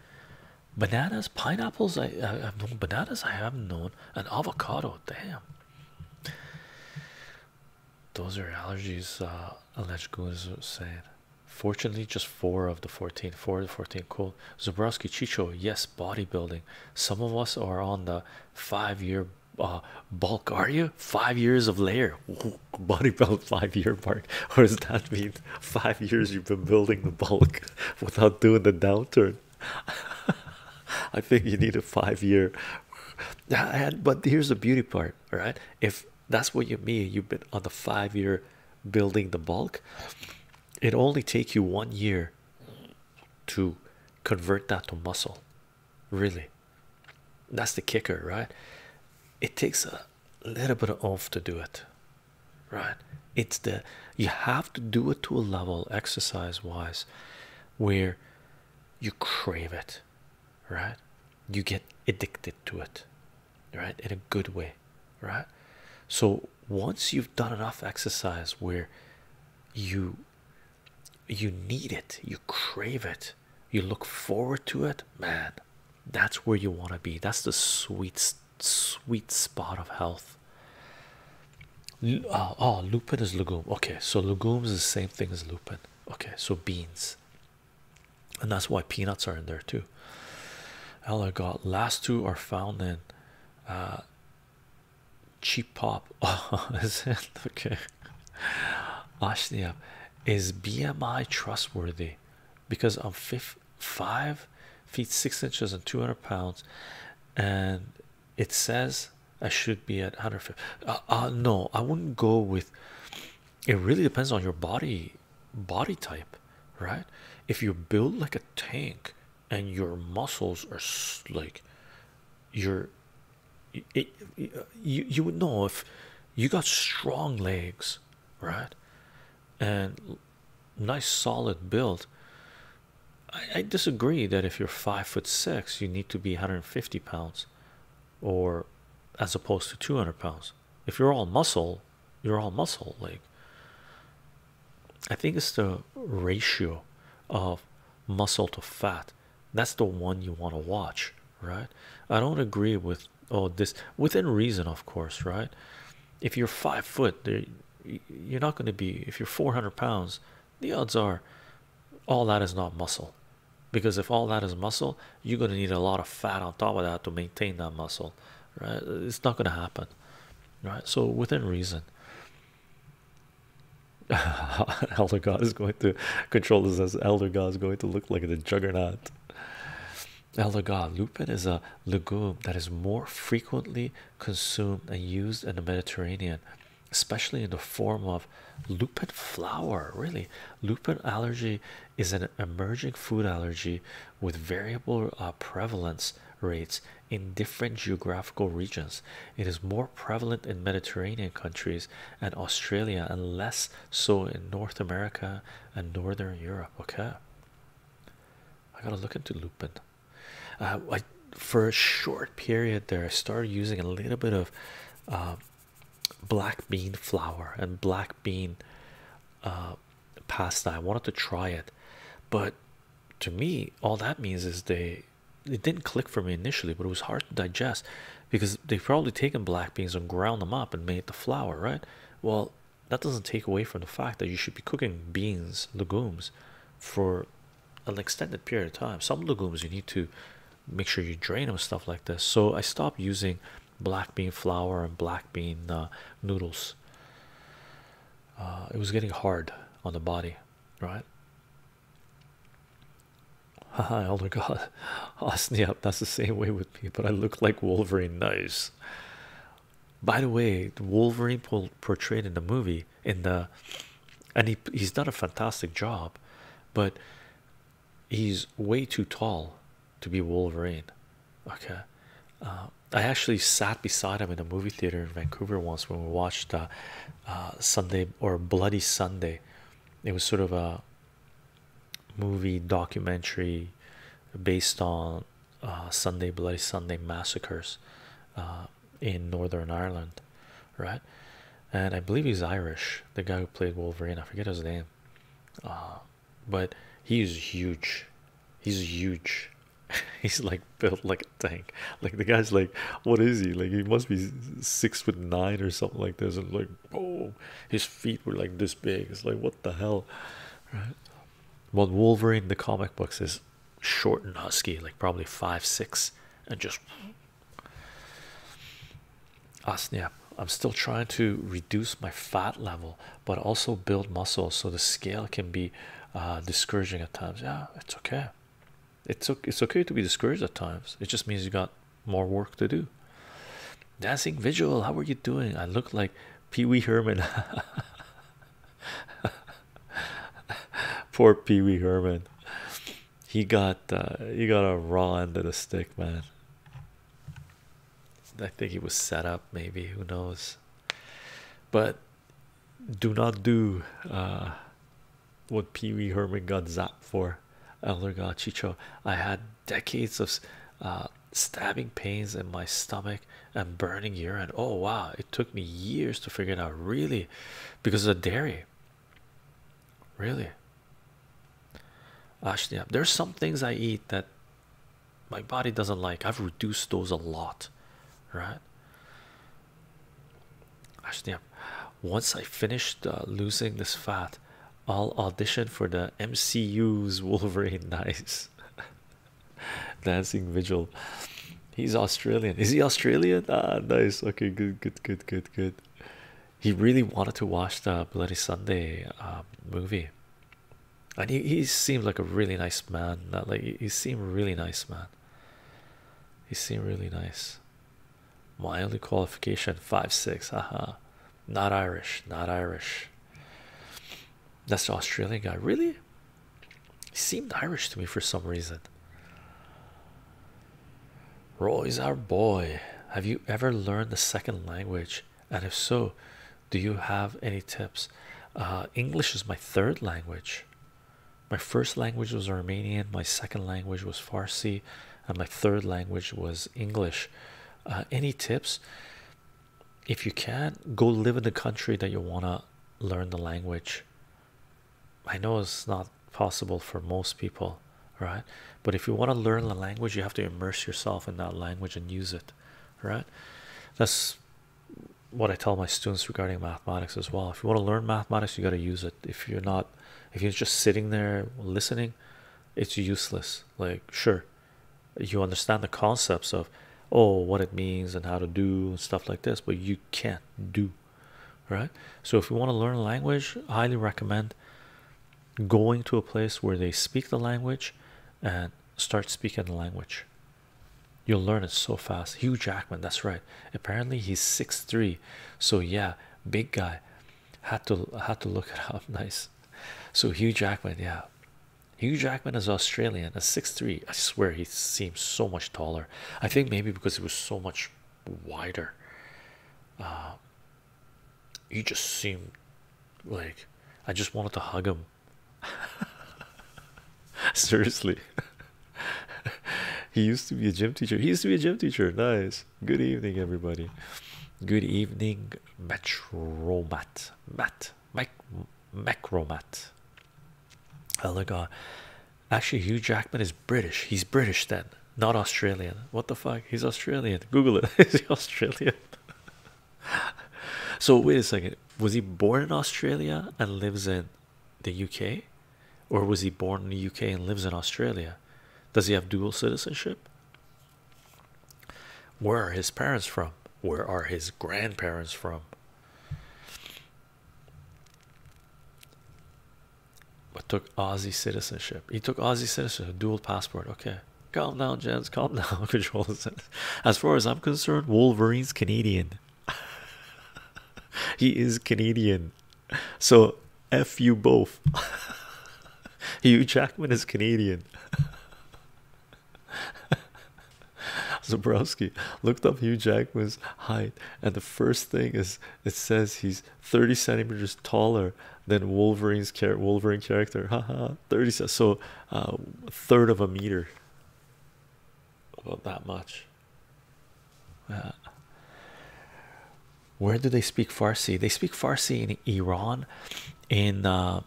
bananas pineapples i, I have known bananas i have known an avocado damn those are allergies uh alleged goons saying fortunately just four of the 14 four of the 14 cool Zabrowski chicho yes bodybuilding some of us are on the five-year uh, bulk are you? Five years of layer body bodybuild five year mark, What does that mean five years you've been building the bulk without doing the downturn? I think you need a five year. And, but here's the beauty part, right? If that's what you mean, you've been on the five year building the bulk, it only take you one year to convert that to muscle really that's the kicker right it takes a little bit of effort to do it right it's the you have to do it to a level exercise wise where you crave it right you get addicted to it right in a good way right so once you've done enough exercise where you you need it, you crave it, you look forward to it, man. That's where you want to be. That's the sweet, sweet spot of health. Uh, oh, lupin is legume. Okay, so legumes is the same thing as lupin. Okay, so beans, and that's why peanuts are in there too. Oh Ella got last two are found in uh, cheap pop. Oh, is it okay? Ashnia, is BMI trustworthy? Because I'm five feet six inches and 200 pounds, and it says I should be at 150. Uh, uh, no, I wouldn't go with. It really depends on your body, body type, right? If you build like a tank and your muscles are like your you you would know if you got strong legs, right, and nice solid build. I, I disagree that if you're five foot six, you need to be 150 pounds, or as opposed to 200 pounds. If you're all muscle, you're all muscle. Like I think it's the ratio of muscle to fat that's the one you want to watch right i don't agree with all this within reason of course right if you're five foot you're not going to be if you're 400 pounds the odds are all that is not muscle because if all that is muscle you're going to need a lot of fat on top of that to maintain that muscle right it's not going to happen right so within reason elder god is going to control this as elder god is going to look like the juggernaut elder god lupin is a legume that is more frequently consumed and used in the mediterranean especially in the form of lupin flower really lupin allergy is an emerging food allergy with variable uh, prevalence rates in different geographical regions it is more prevalent in Mediterranean countries and Australia and less so in North America and Northern Europe. Okay, I gotta look into lupin. Uh, I for a short period there, I started using a little bit of uh, black bean flour and black bean uh, pasta. I wanted to try it, but to me, all that means is they it didn't click for me initially, but it was hard to digest because they probably taken black beans and ground them up and made the flour, right? Well, that doesn't take away from the fact that you should be cooking beans, legumes for an extended period of time. Some legumes you need to make sure you drain them, stuff like this. So I stopped using black bean flour and black bean uh, noodles. Uh, it was getting hard on the body, right? Oh Elder God. Oh yep, that's the same way with me, but I look like Wolverine. Nice. By the way, Wolverine portrayed in the movie, in the, and he, he's done a fantastic job, but he's way too tall to be Wolverine. Okay. Uh, I actually sat beside him in a movie theater in Vancouver once when we watched uh, uh, Sunday or Bloody Sunday. It was sort of a movie documentary based on uh, Sunday Bloody Sunday massacres uh, in Northern Ireland, right? And I believe he's Irish, the guy who played Wolverine. I forget his name, but he is huge. He's huge. he's like built like fucking Like the guy's like, what is he? Like he must be six foot nine or something like this. And like, oh, his feet were like this big. It's like what the hell, right? But Wolverine, the comic books, is short and husky, like probably five six, and just. Asnia, ah, I'm still trying to reduce my fat level, but also build muscle, so the scale can be uh, discouraging at times. Yeah, it's okay. It's okay, it's okay to be discouraged at times. It just means you got more work to do. Dancing visual, how are you doing? I look like Pee Wee Herman. Poor Pee Wee Herman. He got uh, he got a raw end of the stick, man. I think he was set up, maybe who knows. But do not do uh, what Pee Wee Herman got zapped for. Elder God Chicho, I had decades of uh, stabbing pains in my stomach and burning urine. Oh wow, it took me years to figure it out, really, because of the dairy. Really, actually, there's some things I eat that my body doesn't like. I've reduced those a lot, right? Actually, once I finish uh, losing this fat, I'll audition for the MCU's Wolverine. Nice dancing vigil. He's Australian. Is he Australian? Ah, nice. Okay, good, good, good, good, good. He really wanted to watch the Bloody Sunday um, movie, and he, he seemed like a really nice man. Like he seemed really nice man. He seemed really nice. My only qualification five six. Aha, not Irish, not Irish. That's the Australian guy. Really, he seemed Irish to me for some reason. Roy's our boy. Have you ever learned the second language? And if so, do you have any tips? Ah, English is my third language. My first language was Armenian, my second language was Farsi, and my third language was English. Uh, any tips? If you can, not go live in the country that you want to learn the language. I know it's not possible for most people, right? But if you want to learn the language, you have to immerse yourself in that language and use it, right? That's what I tell my students regarding mathematics as well. If you want to learn mathematics, you got to use it. If you're not if you're just sitting there listening it's useless like sure you understand the concepts of oh what it means and how to do stuff like this but you can't do right so if you want to learn a language highly recommend going to a place where they speak the language and start speaking the language you'll learn it so fast hugh jackman that's right apparently he's six three so yeah big guy had to had to look at up nice so Hugh Jackman yeah Hugh Jackman is Australian at six three I swear he seems so much taller I think maybe because he was so much wider uh, he just seemed like I just wanted to hug him seriously he used to be a gym teacher. He used to be a gym teacher. Nice. Good evening, everybody. Good evening, Mat Matt. Mike Macromat. Oh my god. Actually, Hugh Jackman is British. He's British then, not Australian. What the fuck? He's Australian. Google it. He's Australian? so wait a second. Was he born in Australia and lives in the UK? Or was he born in the UK and lives in Australia? Does he have dual citizenship? Where are his parents from? Where are his grandparents from? But took Aussie citizenship. He took Aussie citizenship, dual passport. Okay, calm down, gents. Calm down, controls. As far as I'm concerned, Wolverine's Canadian. he is Canadian. So F you both. Hugh Jackman is Canadian. Zabrowski looked up Hugh Jackman's height, and the first thing is it says he's 30 centimeters taller than Wolverine's char Wolverine character. Thirty 30 so a uh, third of a meter. About that much. Uh, where do they speak Farsi? They speak Farsi in Iran, in uh,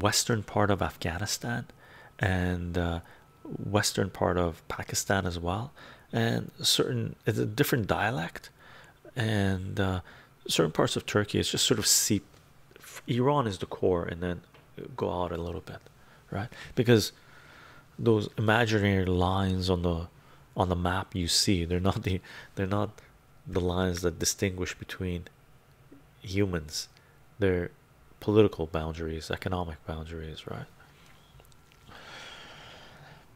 western part of Afghanistan, and uh, western part of Pakistan as well. And certain it's a different dialect, and certain parts of Turkey. It's just sort of seep. Iran is the core, and then go out a little bit, right? Because those imaginary lines on the on the map you see they're not the they're not the lines that distinguish between humans they're political boundaries economic boundaries right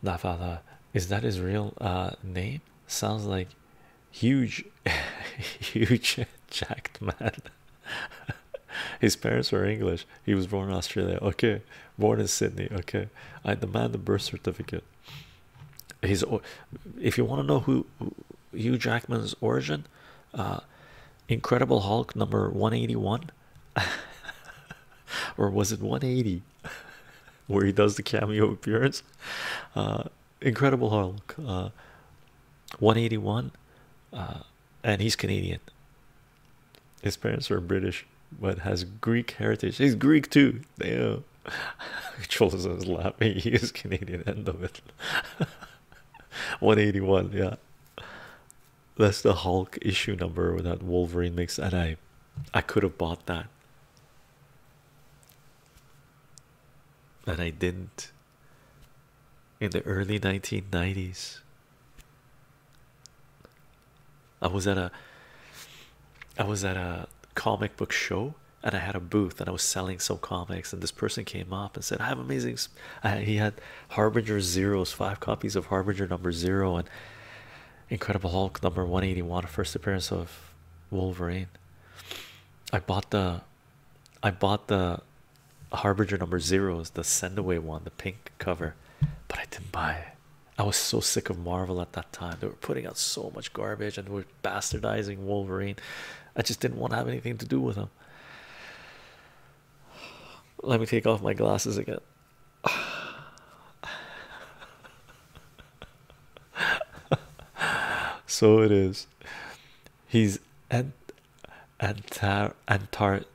Nafala is that his real uh, name sounds like huge huge jacked man His parents were English. He was born in Australia. Okay, born in Sydney. Okay, I demand the birth certificate. His, if you want to know who, Hugh Jackman's origin, uh, Incredible Hulk number one eighty one, or was it one eighty, where he does the cameo appearance? Uh, Incredible Hulk, uh, one eighty one and he's Canadian. His parents were British, but has Greek heritage. He's Greek too. Damn. Trolls is laughing. He Canadian. End of it. 181. Yeah. That's the Hulk issue number with that Wolverine mix. and I, I could have bought that, and I didn't. In the early 1990s, I was at a I was at a comic book show and I had a booth and I was selling some comics and this person came up and said I have amazing he had Harbinger zeros five copies of Harbinger number zero and Incredible Hulk number 181 first appearance of Wolverine I bought the I bought the Harbinger number zeros the send away one the pink cover but I didn't buy it. I was so sick of Marvel at that time. They were putting out so much garbage and were bastardizing Wolverine. I just didn't want to have anything to do with them. Let me take off my glasses again. so it is. He's Ant Antar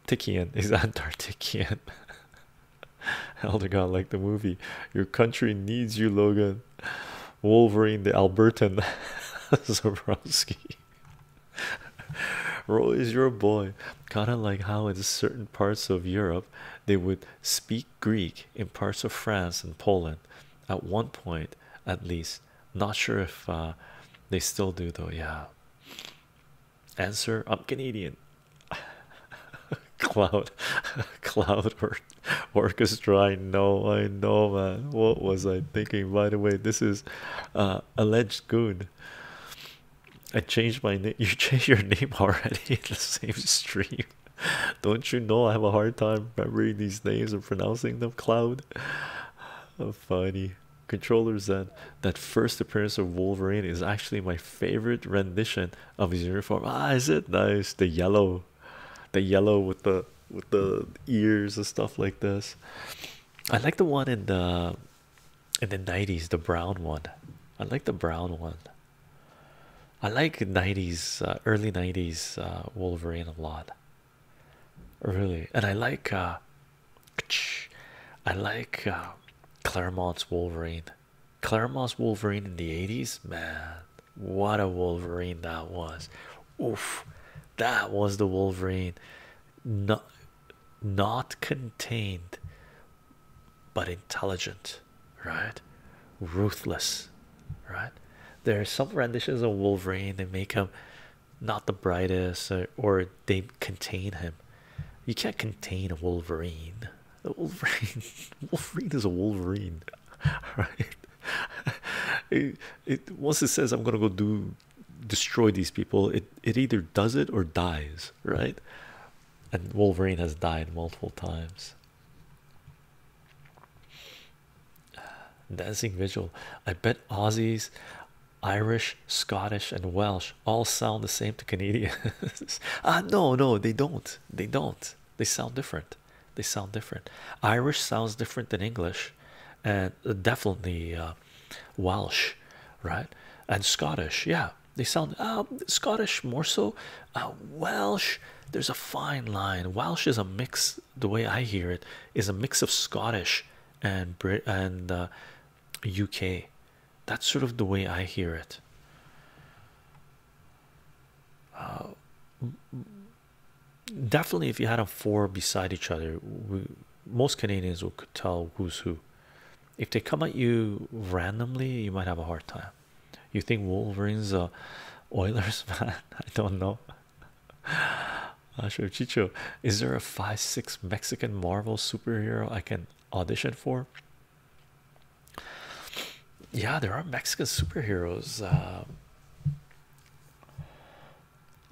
He's Antarctician. Elder God, like the movie, your country needs you, Logan. Wolverine, the Albertan, Zabrowski. Roy is your boy. Kind of like how in certain parts of Europe they would speak Greek in parts of France and Poland at one point, at least. Not sure if uh, they still do, though. Yeah, Answer I'm Canadian. Cloud, Cloud or Orchestra. I know, I know, man. What was I thinking? By the way, this is uh, alleged good. I changed my name. You changed your name already in the same stream. Don't you know I have a hard time remembering these names and pronouncing them? Cloud, oh, funny controllers that that first appearance of Wolverine is actually my favorite rendition of his uniform. Ah, is it nice? The yellow, the yellow with the with the ears and stuff like this. I like the one in the in the nineties, the brown one. I like the brown one. I like nineties, uh, early nineties uh, Wolverine a lot, really, and I like uh, I like uh, Claremont's Wolverine. Claremont's Wolverine in the 80s, man, what a Wolverine that was! Oof, that was the Wolverine, not not contained, but intelligent, right? Ruthless, right? There are some renditions of Wolverine they make him not the brightest or they contain him. You can't contain a Wolverine. Wolverine, Wolverine is a Wolverine, right? It, it once it says I'm gonna go do destroy these people, it it either does it or dies, right? And Wolverine has died multiple times. Dancing visual. I bet Aussies Irish, Scottish, and Welsh all sound the same to Canadians. ah, no, no, they don't. They don't. They sound different. They sound different. Irish sounds different than English, and definitely uh, Welsh, right? And Scottish, yeah, they sound uh, Scottish more so. Uh, Welsh, there's a fine line. Welsh is a mix. The way I hear it is a mix of Scottish and Brit and UK that's sort of the way I hear it. Uh, definitely, if you had a four beside each other, most Canadians would could tell who's who. If they come at you randomly, you might have a hard time. You think Wolverines are Oilers, man? I don't know. Chicho, is there a five six Mexican Marvel superhero I can audition for. Yeah, there are Mexican superheroes. Uh,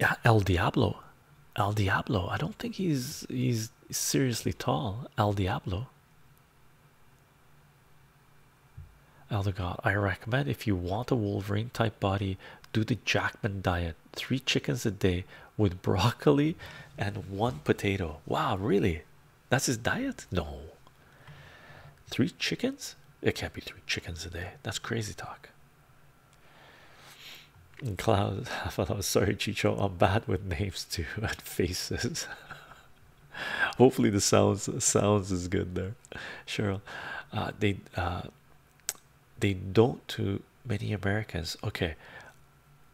yeah, El Diablo, El Diablo. I don't think he's he's seriously tall. El Diablo. Elder God, I recommend if you want a Wolverine type body, do the Jackman diet. Three chickens a day with broccoli and one potato. Wow, really? That's his diet? No. Three chickens? It can't be three chickens a day. That's crazy talk. And Cloud, i was sorry, Chicho. I'm bad with names too and faces. Hopefully, the sounds sounds is good there, Cheryl. Uh, they uh, they don't many Americans okay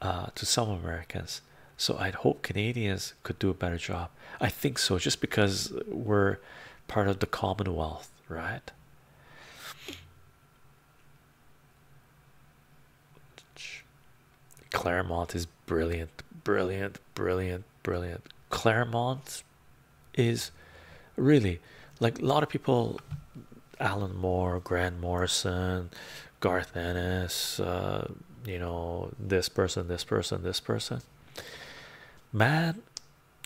uh to some Americans so I'd hope Canadians could do a better job I think so just because we're part of the Commonwealth right Claremont is brilliant brilliant brilliant brilliant Claremont is really like a lot of people Alan Moore, Grant Morrison, Garth Ennis, uh, you know, this person, this person, this person, Matt,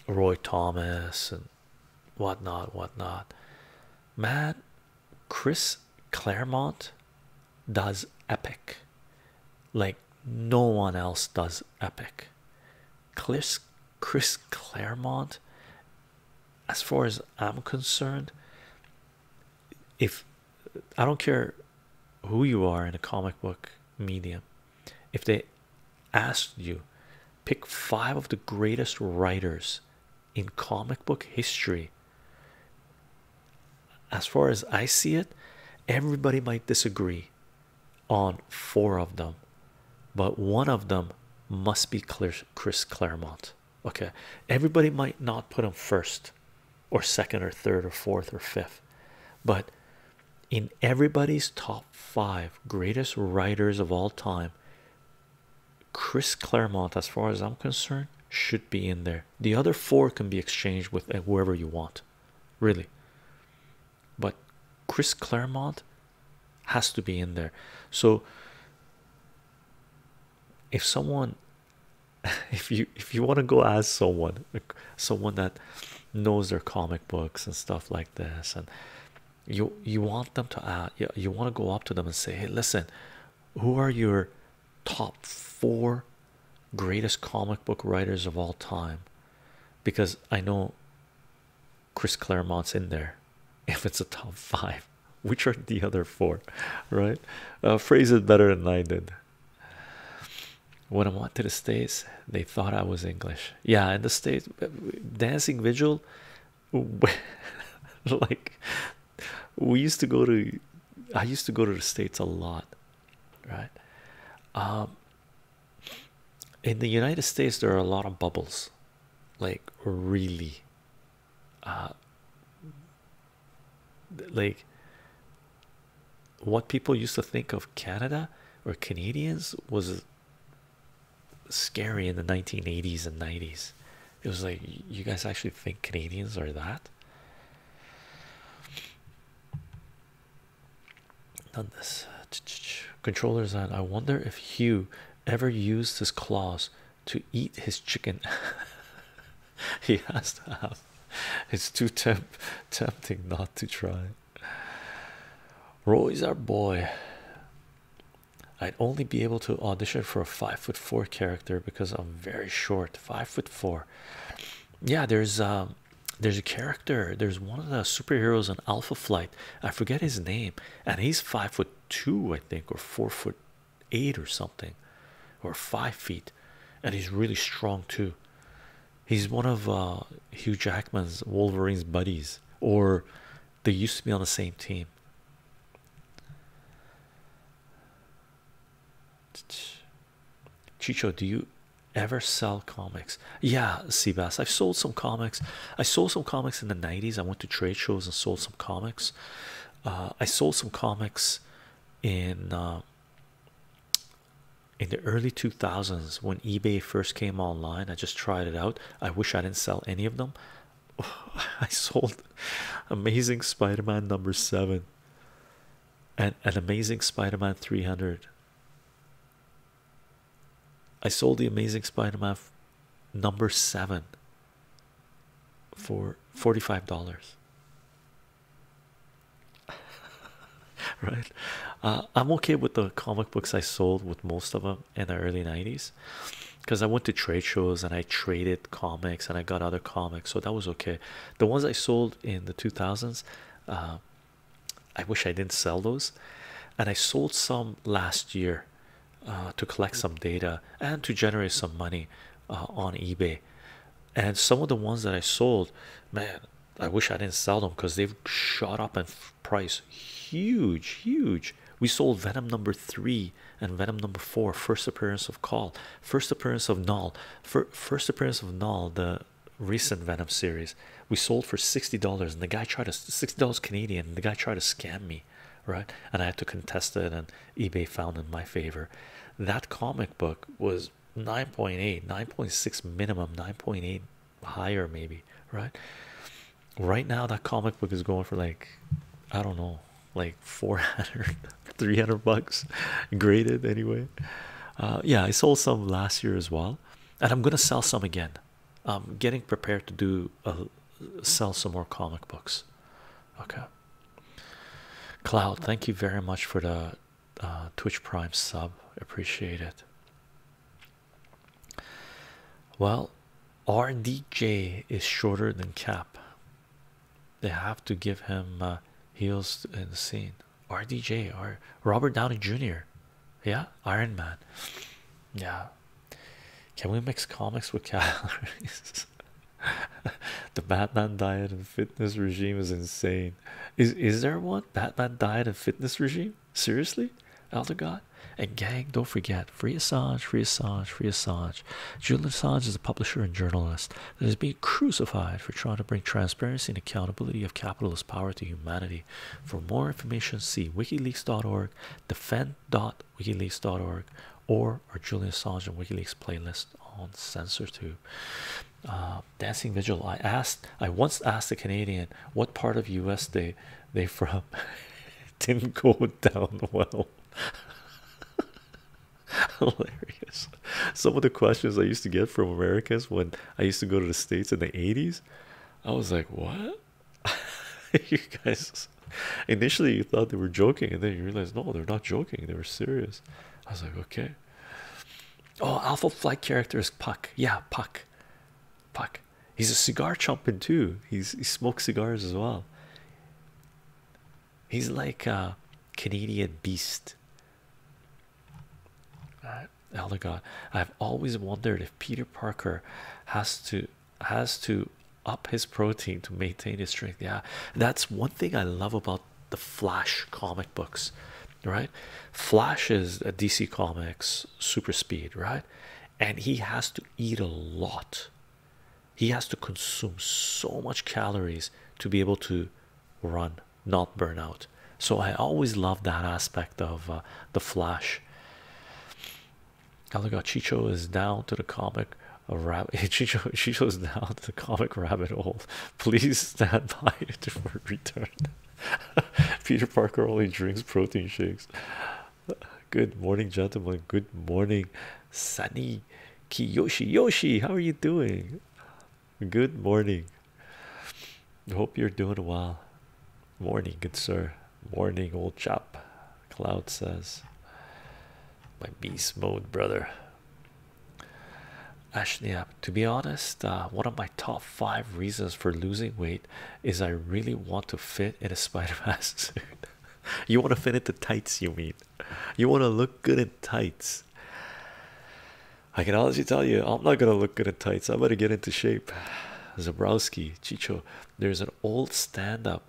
Roy Thomas, and whatnot, whatnot. Matt, Chris Claremont does epic like no one else does epic. Chris, Chris Claremont, as far as I'm concerned, if I don't care who you are in a comic book medium, if they asked you pick five of the greatest writers in comic book history, as far as I see it, everybody might disagree on four of them, but one of them must be Chris Claremont okay everybody might not put him first or second or third or fourth or fifth but in everybody's top five greatest writers of all time Chris Claremont as far as I'm concerned should be in there the other four can be exchanged with uh, whoever you want really but Chris Claremont has to be in there so if someone if you if you want to go ask someone someone that knows their comic books and stuff like this and you you want them to ask, uh, you, you want to go up to them and say hey listen who are your top four greatest comic book writers of all time because i know chris claremont's in there if it's a top five which are the other four right uh, phrase it better than i did when i went to the states they thought i was english yeah in the states uh, dancing vigil like we used to go to i used to go to the states a lot right um in the united states there are a lot of bubbles like really uh, like what people used to think of Canada or Canadians was scary in the 1980s and 90s. It was like, you guys actually think Canadians are that? Done this. Controllers, on. I wonder if Hugh ever used his claws to eat his chicken. he has to have. It's too temp tempting not to try. Roy's our boy. I'd only be able to audition for a five foot four character because I'm very short. Five foot four. Yeah, there's a, um, there's a character. There's one of the superheroes in Alpha Flight. I forget his name, and he's five foot two, I think, or four foot eight or something, or five feet, and he's really strong too. He's one of uh, Hugh Jackman's Wolverine's buddies, or they used to be on the same team. Chicho, do you ever sell comics? Yeah, Seabass. I've sold some comics. I sold some comics in the 90s. I went to trade shows and sold some comics. Uh, I sold some comics in um, in the early 2000s when eBay first came online. I just tried it out. I wish I didn't sell any of them. I sold Amazing Spider-Man number seven and an Amazing Spider-Man 300. I sold the Amazing Spider-Man number seven for $45 right uh, i'm okay with the comic books i sold with most of them in the early 90s because i went to trade shows and i traded comics and i got other comics so that was okay the ones i sold in the 2000s uh, i wish i didn't sell those and i sold some last year uh, to collect some data and to generate some money uh, on eBay. And some of the ones that I sold, man, I wish I didn't sell them because they've shot up in price huge, huge. We sold Venom number three and Venom number four, first appearance of Call, first appearance of Null, first appearance of Null, the recent Venom series. We sold for $60 and the guy tried to $60 Canadian. the guy tried to scam me right and i had to contest it and ebay found in my favor that comic book was 9.8 9.6 minimum 9.8 higher maybe right right now that comic book is going for like i don't know like 400 300 bucks graded anyway uh, yeah i sold some last year as well and i'm gonna sell some again getting prepared to do sell some more comic books okay Cloud, thank you very much for the uh, Twitch Prime sub. Appreciate it. Well, RDJ is shorter than Cap. They have to give him uh, heels in the scene. RDJ or Robert Downey Jr. Yeah, Iron Man. Yeah. Can we mix comics with calories? the Batman diet and fitness regime is insane. Is is there one Batman diet and fitness regime? Seriously, Elder and gang. Don't forget, free Assange, free Assange, free Assange. Julian Assange is a publisher and journalist that is being crucified for trying to bring transparency and accountability of capitalist power to humanity. For more information, see WikiLeaks.org, Defend wikileaks.org or our Julian Assange WikiLeaks playlist on SensorTube. Uh, Dancing Vigil. I asked. I once asked a Canadian what part of U.S. they they from. didn't go down well. Hilarious. Some of the questions I used to get from Americans when I used to go to the states in the 80s, I was like, "What? you guys Initially, you thought they were joking, and then you realize no, they're not joking, they were serious. I was like, okay. Oh, Alpha Flight character is Puck. Yeah, Puck. Puck. He's a cigar chomping too. He's he smokes cigars as well. He's like a Canadian beast. Oh Elder God, I've always wondered if Peter Parker has to has to up his protein to maintain his strength. Yeah, that's one thing I love about the Flash comic books, right? Flash is a DC Comics super speed, right? And he has to eat a lot, he has to consume so much calories to be able to run, not burn out. So I always love that aspect of uh, the Flash. I look how Chicho is down to the comic a rabbit. She shows. she chose down the comic rabbit hole. Please stand by for return. Peter Parker only drinks protein shakes. Good morning, gentlemen. Good morning, Sunny Kiyoshi. Yoshi, how are you doing? Good morning. Hope you're doing well. Morning, good sir. Morning, old chap. Cloud says my beast mode brother actually uh, to be honest uh, one of my top five reasons for losing weight is i really want to fit in a spider-man suit you want to fit into tights you mean you want to look good in tights i can honestly tell you i'm not gonna look good in tights i'm gonna get into shape zabrowski chicho there's an old stand-up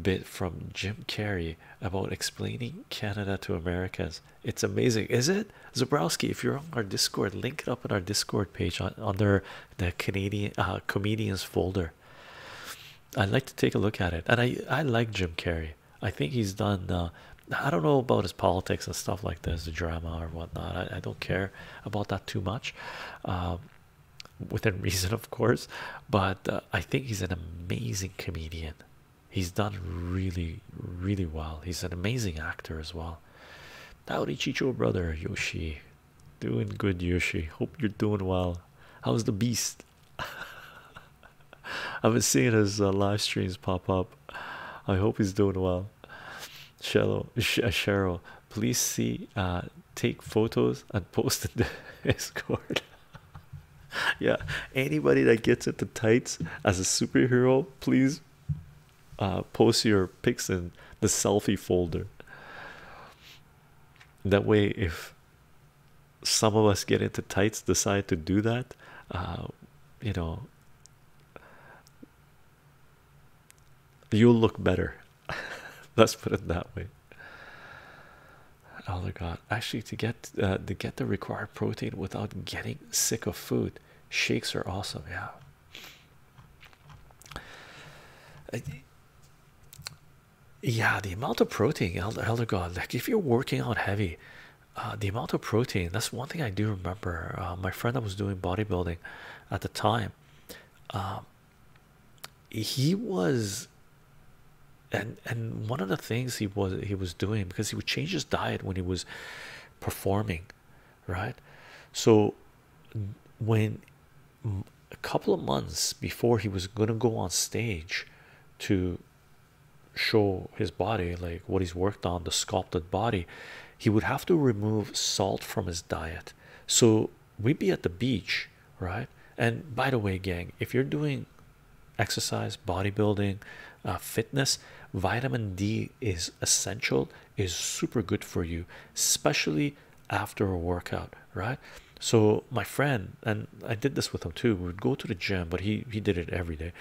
bit from Jim Carrey about explaining Canada to Americans. It's amazing, is it? Zabrowski, if you're on our Discord, link it up in our Discord page under the Canadian uh, comedians folder. I'd like to take a look at it, and I I like Jim Carrey. I think he's done. Uh, I don't know about his politics and stuff like this, the drama or whatnot. I, don't care about that too much, um, within reason, of course. But uh, I think he's an amazing comedian. He's done really, really well. He's an amazing actor as well. Howdy, Chicho, brother Yoshi. Doing good, Yoshi. Hope you're doing well. How's the beast? I've been seeing his uh, live streams pop up. I hope he's doing well. Cheryl, uh, Cheryl, please see, uh, take photos and post in the Discord. yeah, anybody that gets into tights as a superhero, please uh, post your pics in the selfie folder. That way, if some of us get into tights, decide to do that, uh, you know, you'll look better. Let's put it that way. Oh my God, actually, to get uh, to get the required protein without getting sick of food, shakes are awesome. Yeah. yeah, the amount of protein, Oh my God, like if you're working out heavy, uh, the amount of protein that's one thing I do remember. Uh, my friend that was doing bodybuilding at the time, um, he was and and one of the things he was he was doing because he would change his diet when he was performing right so when a couple of months before he was going to go on stage to show his body like what he's worked on the sculpted body he would have to remove salt from his diet so we'd be at the beach right and by the way gang if you're doing exercise bodybuilding uh, fitness vitamin d is essential is super good for you especially after a workout right so my friend and i did this with him too we would go to the gym but he he did it every day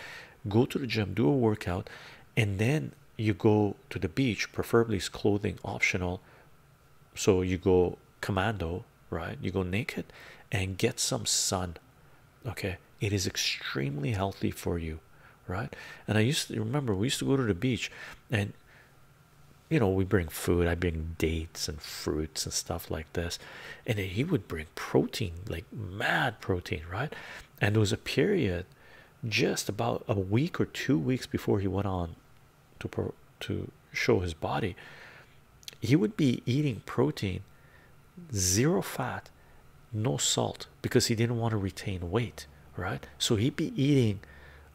go to the gym do a workout and then you go to the beach preferably it's clothing optional so you go commando, right? You go naked and get some sun, okay? It is extremely healthy for you, right? And I used to remember we used to go to the beach and you know, we bring food, I bring dates and fruits and stuff like this, and he would bring protein like mad protein, right? And there was a period just about a week or two weeks before he went on to pro to show his body he would be eating protein zero fat no salt because he didn't want to retain weight right so he'd be eating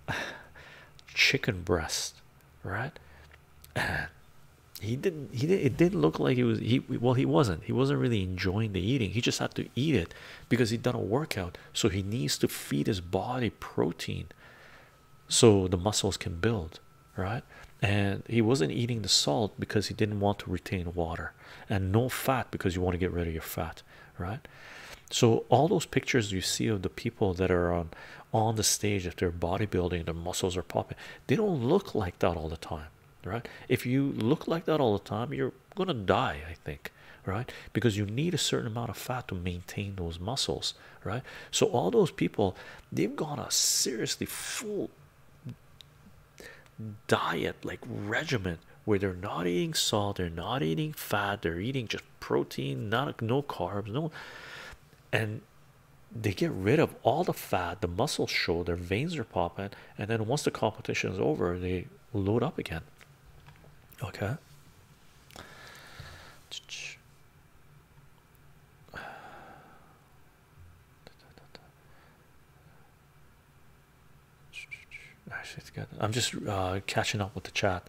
chicken breast right and he didn't he did it didn't look like he was he well he wasn't he wasn't really enjoying the eating he just had to eat it because he'd done a workout so he needs to feed his body protein so the muscles can build, right? And he wasn't eating the salt because he didn't want to retain water, and no fat because you want to get rid of your fat, right? So all those pictures you see of the people that are on on the stage, if they're bodybuilding, their muscles are popping, they don't look like that all the time, right? If you look like that all the time, you're gonna die, I think, right? Because you need a certain amount of fat to maintain those muscles, right? So all those people they've gone a seriously full diet like regimen where they're not eating salt they're not eating fat they're eating just protein not no carbs no and they get rid of all the fat the muscles show their veins are popping and then once the competition is over they load up again okay actually, it's good. I'm just uh, catching up with the chat.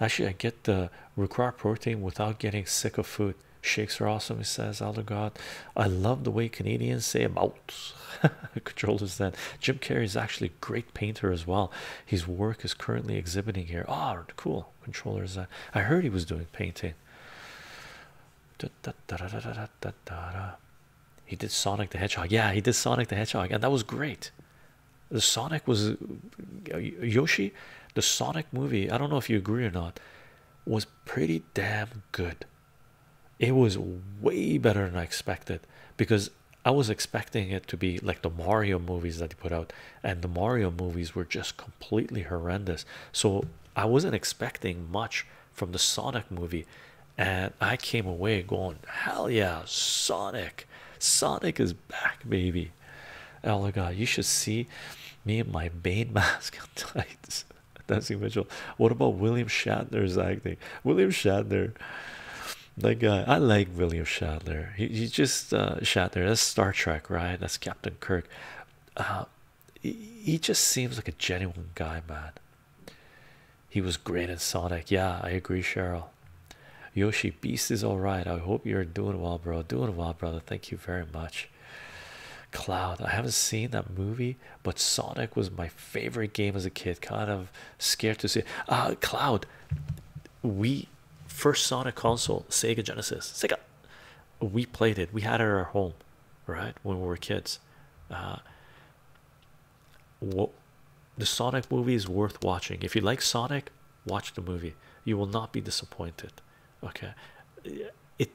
Actually, I get the required protein without getting sick of food. Shakes are awesome, he says. Elder God, I love the way Canadians say about controllers. Then Jim Carrey is actually a great painter as well. His work is currently exhibiting here. Ah, cool controllers. I heard he was doing painting. He did Sonic the Hedgehog. Yeah, he did Sonic the Hedgehog, and that was great. The Sonic was Yoshi. The Sonic movie. I don't know if you agree or not. Was pretty damn good. It was way better than I expected because I was expecting it to be like the Mario movies that he put out, and the Mario movies were just completely horrendous. So I wasn't expecting much from the Sonic movie, and I came away going, Hell yeah, Sonic! Sonic is back, baby. Oh my god, you should see me in my Bane mask tights. Nancy Mitchell. What about William Shatner's acting? William Shatner, that guy. I like William Shatner. He, he just uh, Shatner. That's Star Trek, right? That's Captain Kirk. Uh, he just seems like a genuine guy, man. He was great in Sonic. Yeah, I agree, Cheryl. Yoshi Beast is all right. I hope you're doing well, bro. Doing well, brother. Thank you very much. Cloud, I haven't seen that movie, but Sonic was my favorite game as a kid. Kind of scared to see. It. Uh, Cloud, we first Sonic console, Sega Genesis. Sega, we played it. We had it at our home, right, when we were kids. Uh, what the Sonic movie is worth watching. If you like Sonic, watch the movie. You will not be disappointed. Okay, it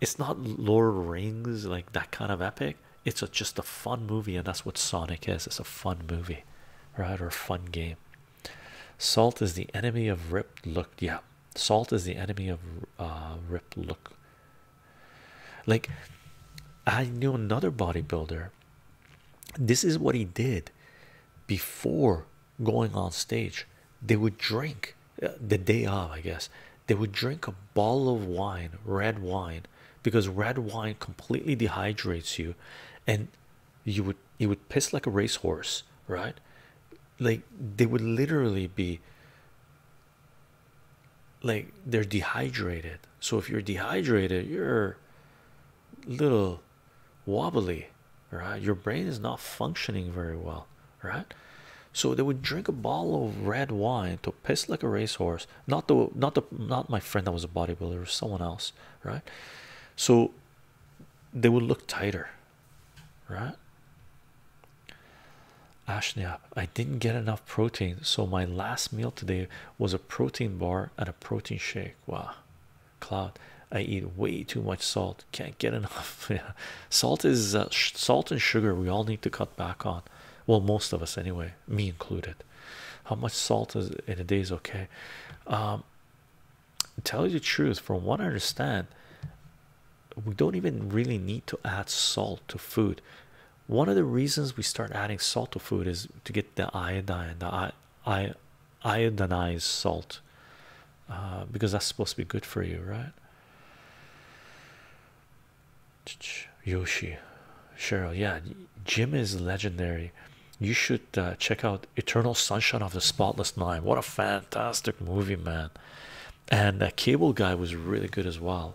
it's not Lord of the Rings like that kind of epic. It's just a fun movie, and that's what Sonic is. It's a fun movie, right, or a fun game. Salt is the enemy of Rip. Look, yeah, Salt is the enemy of uh, Rip. Look, like I knew another bodybuilder. This is what he did before going on stage. They would drink uh, the day off. I guess. They would drink a bottle of wine, red wine, because red wine completely dehydrates you, and you would you would piss like a racehorse, right? like they would literally be like they're dehydrated. So if you're dehydrated, you're little wobbly, right? Your brain is not functioning very well, right? So they would drink a bottle of red wine to piss like a racehorse. Not the not the not my friend that was a bodybuilder, or someone else, right? So they would look tighter, right? Ashniap, I didn't get enough protein, so my last meal today was a protein bar and a protein shake. Wow, cloud, I eat way too much salt, can't get enough. yeah. Salt is uh, salt and sugar, we all need to cut back on. Well, most of us anyway, me included. How much salt is in a day is okay. Um, tell you the truth, from what I understand, we don't even really need to add salt to food. One of the reasons we start adding salt to food is to get the iodine, the I iodinized salt, uh, because that's supposed to be good for you, right? Yoshi, Cheryl, yeah, Jim is legendary. You should uh, check out Eternal Sunshine of the Spotless Mind. What a fantastic movie, man! and uh, cable guy was really good as well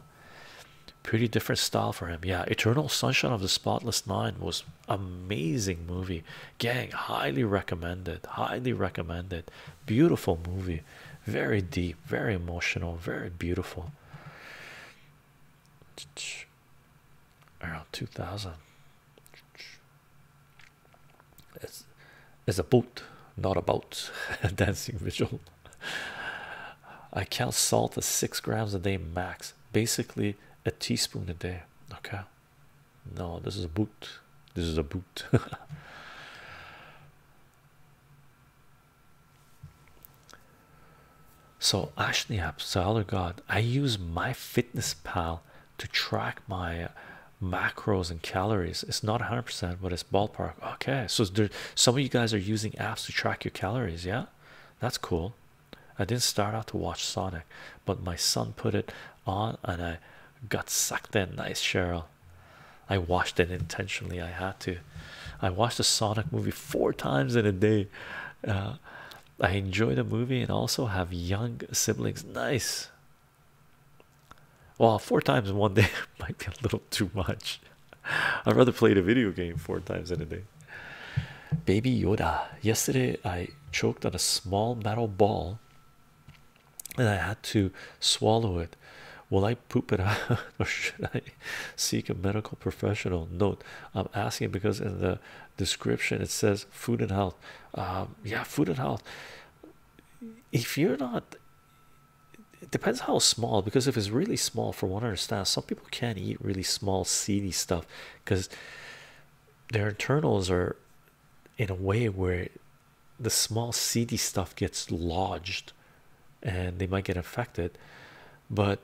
pretty different style for him yeah eternal sunshine of the spotless mind was amazing movie gang highly recommended highly recommended beautiful movie very deep very emotional very beautiful around 2000 it's, it's a boot, not a boat. Dancing visual. I count salt as six grams a day max, basically a teaspoon a day. Okay, no, this is a boot. This is a boot. so Ashniap, Solar God, I use my fitness pal to track my macros and calories. It's not 100 but it's ballpark. Okay, so there, some of you guys are using apps to track your calories. Yeah, that's cool. I didn't start out to watch Sonic, but my son put it on and I got sucked in. Nice, Cheryl. I watched it intentionally. I had to. I watched the Sonic movie four times in a day. Uh, I enjoy the movie and also have young siblings. Nice. Well, four times in one day might be a little too much. I'd rather play the video game four times in a day. Baby Yoda. Yesterday I choked on a small metal ball and I had to swallow it. Will I poop it out or should I seek a medical professional? Note I'm asking because in the description it says food and health. Um, yeah, food and health if you're not it depends how small because if it's really small for one understand some people can't eat really small seedy stuff because their internals are in a way where the small seedy stuff gets lodged and they might get infected. but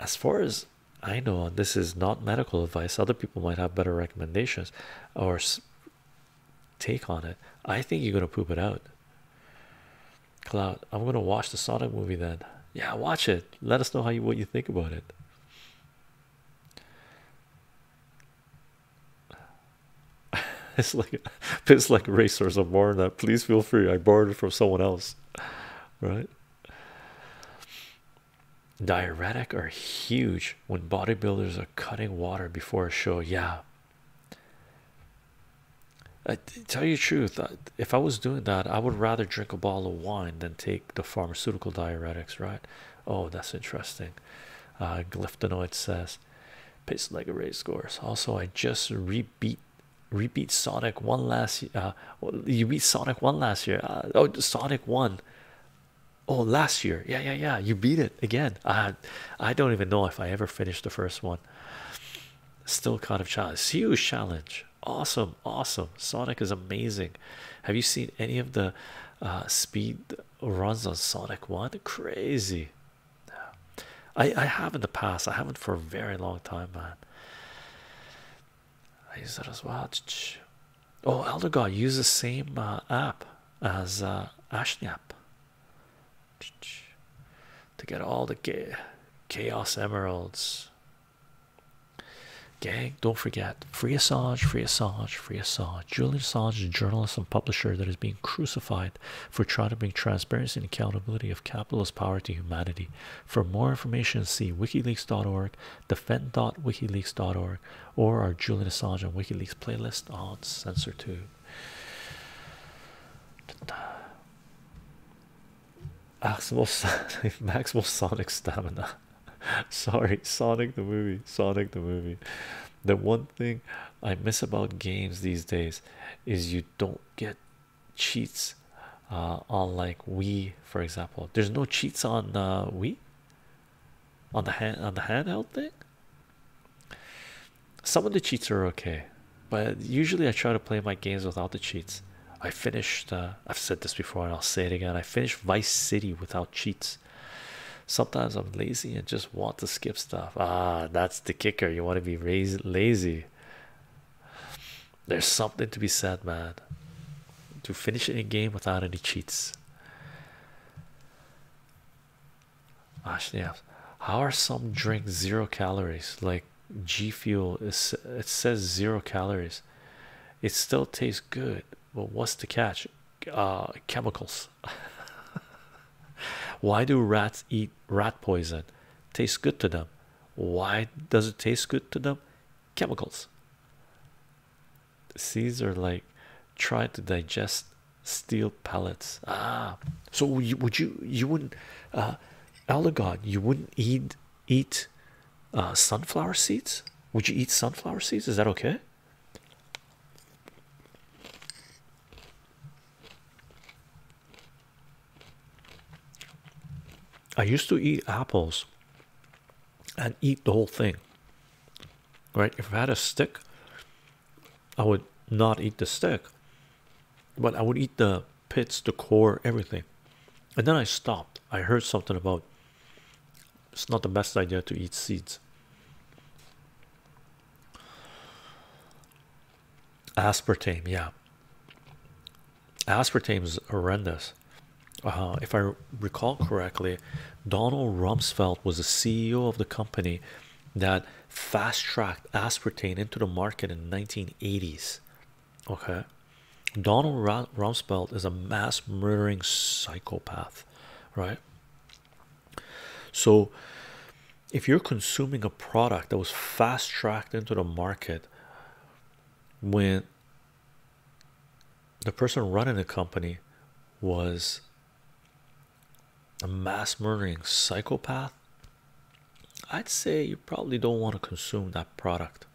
as far as I know and this is not medical advice other people might have better recommendations or take on it. I think you're gonna poop it out. Cloud, I'm gonna watch the Sonic movie then. Yeah, watch it. Let us know how you what you think about it. it's like it's like racers of than that. Please feel free. I borrowed it from someone else. Right. Diuretic are huge when bodybuilders are cutting water before a show. Yeah, I tell you truth, if I was doing that, I would rather drink a bottle of wine than take the pharmaceutical diuretics, right? Oh, that's interesting. Uh, says, "Pace like a race course." Also, I just repeat repeat Sonic one last. year. Uh, you beat Sonic one last year. Uh, oh, Sonic one oh last year yeah yeah yeah you beat it again i i don't even know if i ever finished the first one still kind of challenge huge challenge awesome awesome sonic is amazing have you seen any of the uh, speed runs on sonic one crazy i i have in the past i haven't for a very long time man i use that as well oh elder god use the same uh, app as uh, to get all the chaos emeralds. Gag! don't forget free Assange, free Assange, free Assange. Julian Assange is a journalist and publisher that is being crucified for trying to bring transparency and accountability of capitalist power to humanity. For more information, see wikileaks.org, defend.wikileaks.org, or our Julian Assange and WikiLeaks playlist on CensorTube. Maximal Sonic, Maximal Sonic stamina. Sorry, Sonic the movie. Sonic the movie. The one thing I miss about games these days is you don't get cheats uh, on like Wii, for example. There's no cheats on uh, Wii on the hand on the handheld thing. Some of the cheats are okay, but usually I try to play my games without the cheats. I finished. Uh, I've said this before, and I'll say it again. I finished Vice City without cheats. Sometimes I'm lazy and just want to skip stuff. Ah, that's the kicker. You want to be raised lazy. There's something to be said, man. To finish a game without any cheats. Ashley asks, How are some drinks zero calories? Like G Fuel, it says zero calories. It still tastes good, but what's the catch? Uh, chemicals. Why do rats eat rat poison? Tastes good to them. Why does it taste good to them? Chemicals. Seeds Caesar like try to digest steel pellets. Ah, so would you, you wouldn't uh God. you wouldn't eat eat uh, sunflower seeds? Would you eat sunflower seeds? Is that okay? I used to eat apples and eat the whole thing. Right? If I had a stick, I would not eat the stick, but I would eat the pits, the core, everything. And then I stopped. I heard something about it's not the best idea to eat seeds. Aspartame, yeah. Aspartame is horrendous. Uh-huh, if I recall correctly, Donald Rumsfeld was the CEO of the company that fast tracked aspartame into the market in the 1980s. Okay, Donald Rumsfeld is a mass murdering psychopath, right? So, if you're consuming a product that was fast tracked into the market when the person running the company was a mass murdering psychopath, I'd say you probably don't want to consume that product.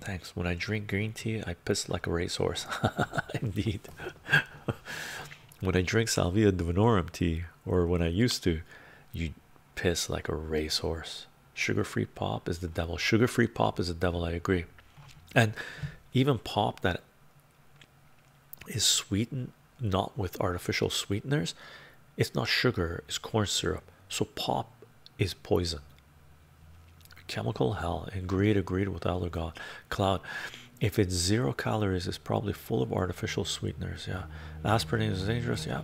Thanks. When I drink green tea, I piss like a racehorse. Indeed. when I drink Salvia divinorum tea, or when I used to, you piss like a racehorse. Sugar free pop is the devil. Sugar free pop is the devil. I agree and even pop that is sweetened not with artificial sweeteners it's not sugar it's corn syrup so pop is poison chemical hell and greed agreed with elder god cloud if it's zero calories it's probably full of artificial sweeteners yeah aspirin is dangerous yeah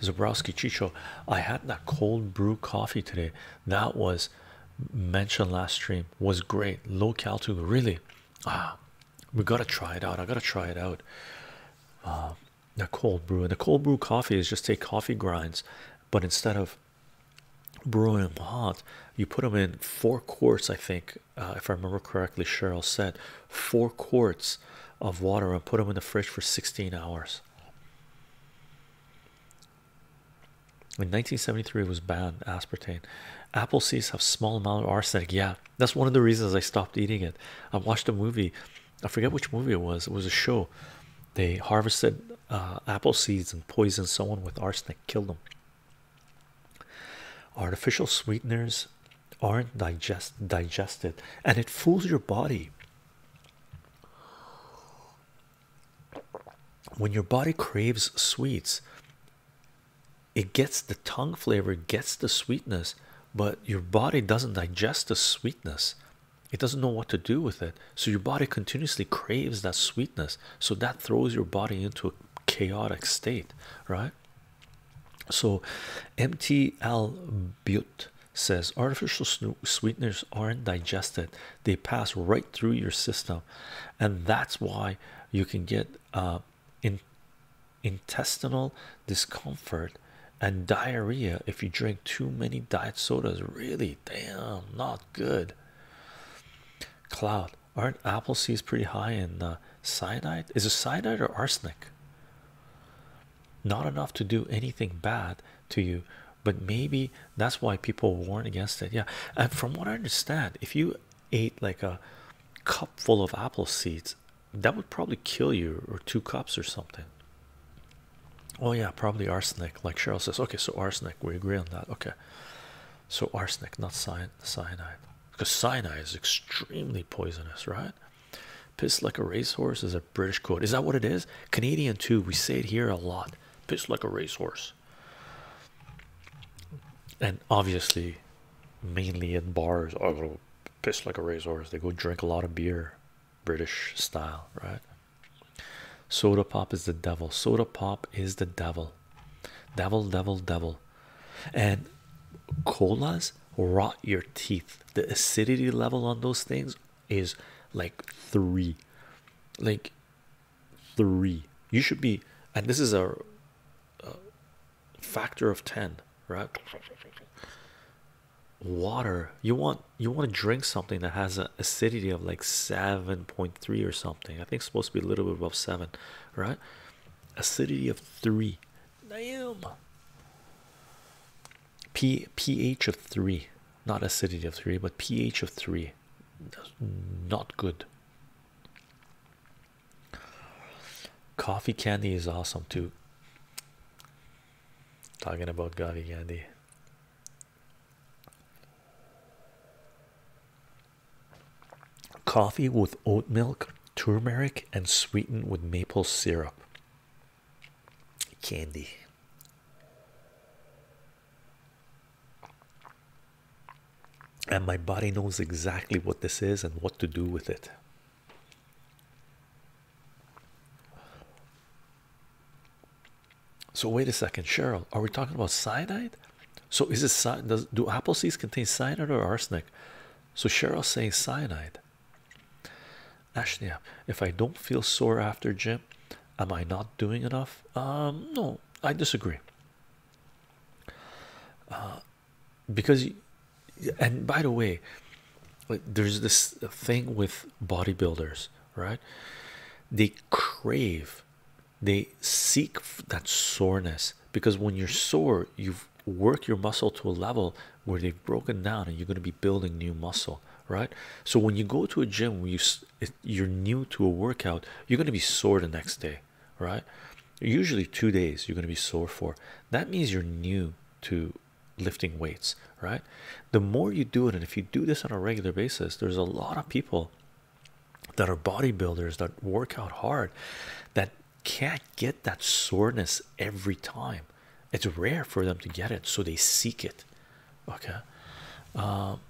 Zabrowski Chicho I had that cold brew coffee today that was mentioned last stream was great. Low calorie really. Ah, we gotta try it out. I gotta try it out. Uh, the cold brew and the cold brew coffee is just take coffee grinds, but instead of brewing them hot, you put them in four quarts. I think, uh, if I remember correctly, Cheryl said four quarts of water and put them in the fridge for 16 hours. In 1973, it was banned aspartame. Apple seeds have small amount of arsenic. Yeah, that's one of the reasons I stopped eating it. I watched a movie. I forget which movie it was. It was a show. They harvested uh, apple seeds and poisoned someone with arsenic, killed them. Artificial sweeteners aren't digest digested, and it fools your body when your body craves sweets it gets the tongue flavor gets the sweetness but your body doesn't digest the sweetness it doesn't know what to do with it so your body continuously craves that sweetness so that throws your body into a chaotic state right so mtl butte says artificial sweeteners aren't digested they pass right through your system and that's why you can get uh, in intestinal discomfort and diarrhea if you drink too many diet sodas really damn not good cloud aren't apple seeds pretty high in uh, cyanide is it cyanide or arsenic not enough to do anything bad to you but maybe that's why people warn against it. Yeah, and from what I understand, if you ate like a cup full of apple seeds, that would probably kill you, or two cups or something. Oh yeah, probably arsenic. Like Cheryl says, okay, so arsenic. We agree on that. Okay, so arsenic, not cyan cyanide, because cyanide is extremely poisonous, right? Piss like a racehorse is a British quote. Is that what it is? Canadian too. We say it here a lot. Piss like a racehorse. And obviously, mainly in bars, oh, pitched like a racehorse. They go drink a lot of beer, British style, right? Soda pop is the devil. Soda pop is the devil. Devil, devil, devil. And colas rot your teeth. The acidity level on those things is like three. Like three you should be and this is a, factor of 10 right water you want you want to drink something that has an acidity of like 7.3 or something i think it's supposed to be a little bit above 7 right acidity of 3 damn p ph of 3 not acidity of 3 but ph of 3 not good. Coffee candy is awesome too. Talking about gavi candy. Coffee with oat milk, turmeric, and sweetened with maple syrup. Candy and my body knows exactly what this is and what to do with it. So wait a second, Cheryl. Are we talking about cyanide? So is it does do apple seeds contain cyanide or arsenic? So Cheryl's saying cyanide. Actually, if I don't feel sore after gym, Am I not doing enough? Um, no, I disagree. Uh, because, and by the way, there's this thing with bodybuilders, right? They crave, they seek that soreness because when you're sore, you've worked your muscle to a level where they've broken down and you're going to be building new muscle, right? So when you go to a gym, you it's you're new to a workout you're going to be sore the next day right usually two days you're going to be sore for that means you're new to lifting weights right the more you do it and if you do this on a regular basis there's a lot of people that are bodybuilders that work out hard that can't get that soreness every time it's rare for them to get it so they seek it okay um,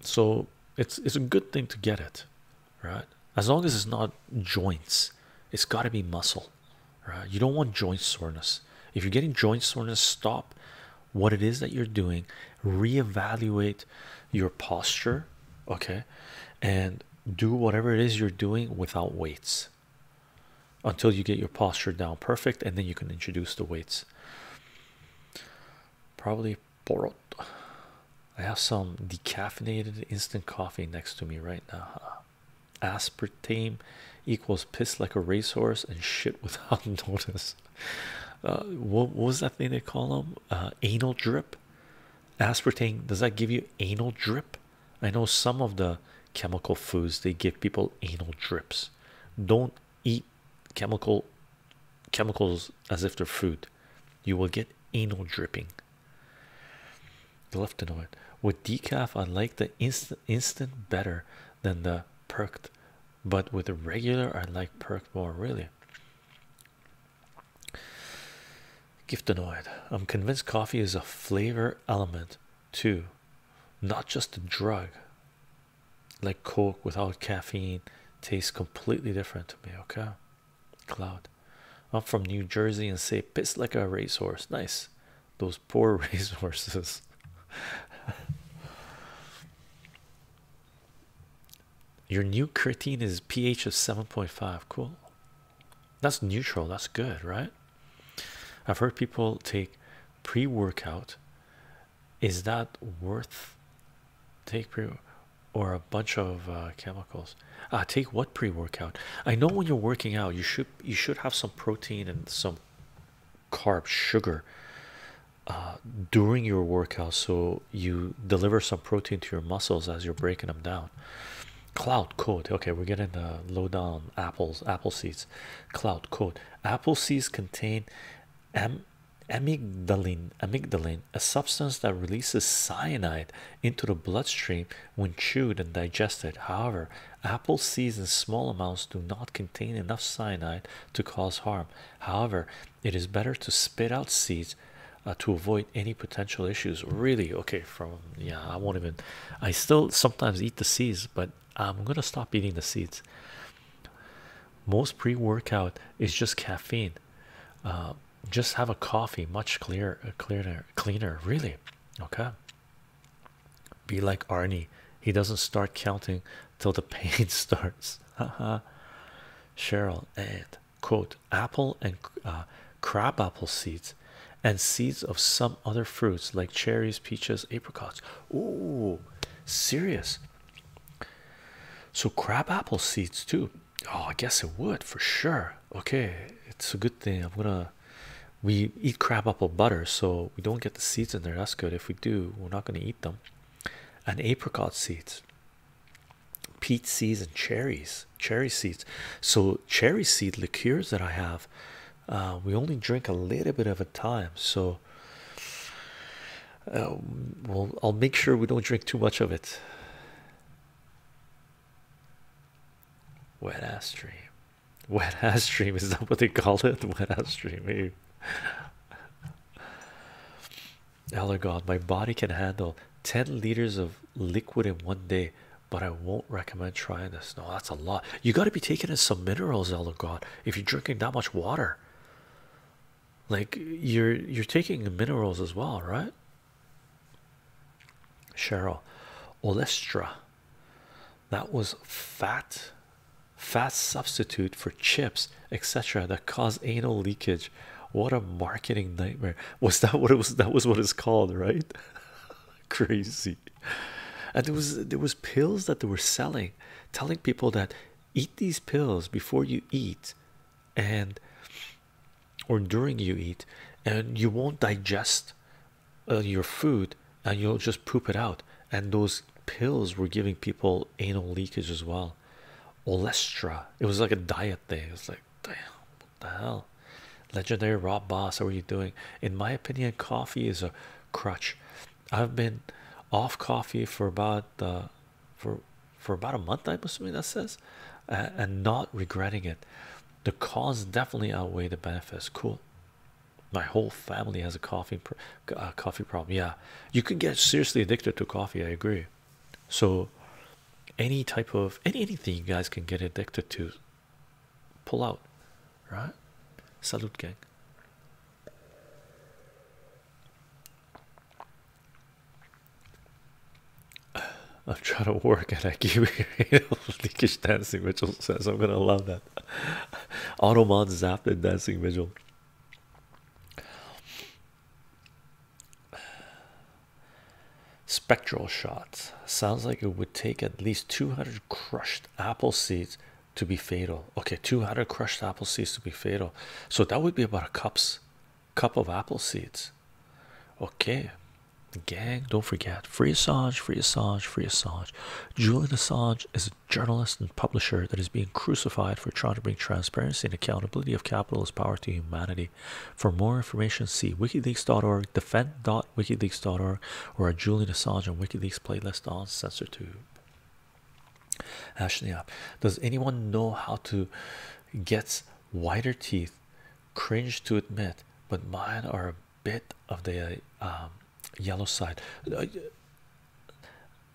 so it's it's a good thing to get it right as long as it's not joints it's got to be muscle right you don't want joint soreness if you're getting joint soreness stop what it is that you're doing reevaluate your posture okay and do whatever it is you're doing without weights until you get your posture down perfect and then you can introduce the weights Probably Porot. I have some decaffeinated instant coffee next to me right now. Aspartame equals piss like a racehorse and shit without notice. Uh, what, was that thing they call them? Uh, anal drip. Aspartame does that give you anal drip? I know some of the chemical foods they give people anal drips. Don't eat chemical chemicals as if they're food. You will get anal dripping. Glyphenoid with decaf, I like the instant instant better than the perked, but with the regular, I like perked more. Really. Giftanoid. I'm convinced coffee is a flavor element too, not just a drug like Coke without caffeine tastes completely different to me. Okay, Cloud, I'm from New Jersey and say piss like a racehorse. Nice, those poor racehorses. Your new creatine is pH of 7.5. Cool, that's neutral. That's good, right? I've heard people take pre workout is that worth take pre or a bunch of uh, chemicals uh, take what pre-workout i know when you're working out you should you should have some protein and some carb sugar uh, during your workout so you deliver some protein to your muscles as you're breaking them down cloud coat okay we're getting the uh, low down apples apple seeds cloud coat apple seeds contain am amygdalin amygdalin a substance that releases cyanide into the bloodstream when chewed and digested however apple seeds in small amounts do not contain enough cyanide to cause harm however it is better to spit out seeds uh, to avoid any potential issues really okay from yeah i won't even i still sometimes eat the seeds but um, I'm gonna stop eating the seeds. Most pre workout is just caffeine. Uh, just have a coffee, much clearer, uh, cleaner, cleaner, really. Okay, be like Arnie, he doesn't start counting till the pain starts. Cheryl and quote apple and uh, crab apple seeds and seeds of some other fruits like cherries, peaches, apricots. Ooh, serious so crabapple seeds too. Oh, I guess it would for sure. Okay, it's a good thing. I'm gonna we eat crabapple butter, so we don't get the seeds in there. That's good. If we do, we're not gonna eat them. And apricot seeds, peach seeds, and cherries, cherry seeds. So cherry seed liqueurs that I have, uh, we only drink a little bit of a time. So um, well I'll make sure we don't drink too much of it wet ass stream wet ass stream is that what they call it wet ass stream maybe. Elder God, my body can handle 10 liters of liquid in one day, but I won't recommend trying this. No, that's a lot. You got to be taking in some minerals, Elder God, if you're drinking that much water like you're you're taking minerals as well right cheryl olestra that was fat fat substitute for chips etc that caused anal leakage what a marketing nightmare was that what it was that was what it's called right crazy and there was there was pills that they were selling telling people that eat these pills before you eat and or during you eat and you won't digest uh, your food and you'll just poop it out and those pills were giving people anal leakage as well olestra it was like a diet thing it's like damn what the hell legendary rob boss how are you doing in my opinion coffee is a crutch I've been off coffee for about uh, for for about a month. I am assuming that says, and not regretting it. The cons definitely outweigh the benefits. Cool. My whole family has a coffee uh, coffee problem. Yeah, you can get seriously addicted to coffee. I agree. So, any type of anything you guys can get addicted to, pull out, right? Salute, gang i am trying to work at a leakish dancing vigil says I'm gonna love that. Automon zapped at dancing vigil. Spectral shots sounds like it would take at least 200 crushed apple seeds to be fatal. Okay, 200 crushed apple seeds to be fatal. So that would be about a cups, cup of apple seeds. Okay, gang, don't forget free Assange, free Assange, free Assange. Julian Assange is a journalist and publisher that is being crucified for trying to bring transparency and accountability of capitalist power to humanity. For more information, see wikileaks.org, defend.wikileaks.org, or a Julian Assange and WikiLeaks playlist on Tube. Ashley up. Does anyone know how to get whiter teeth? Cringe to admit, but mine are a bit of the um, yellow side.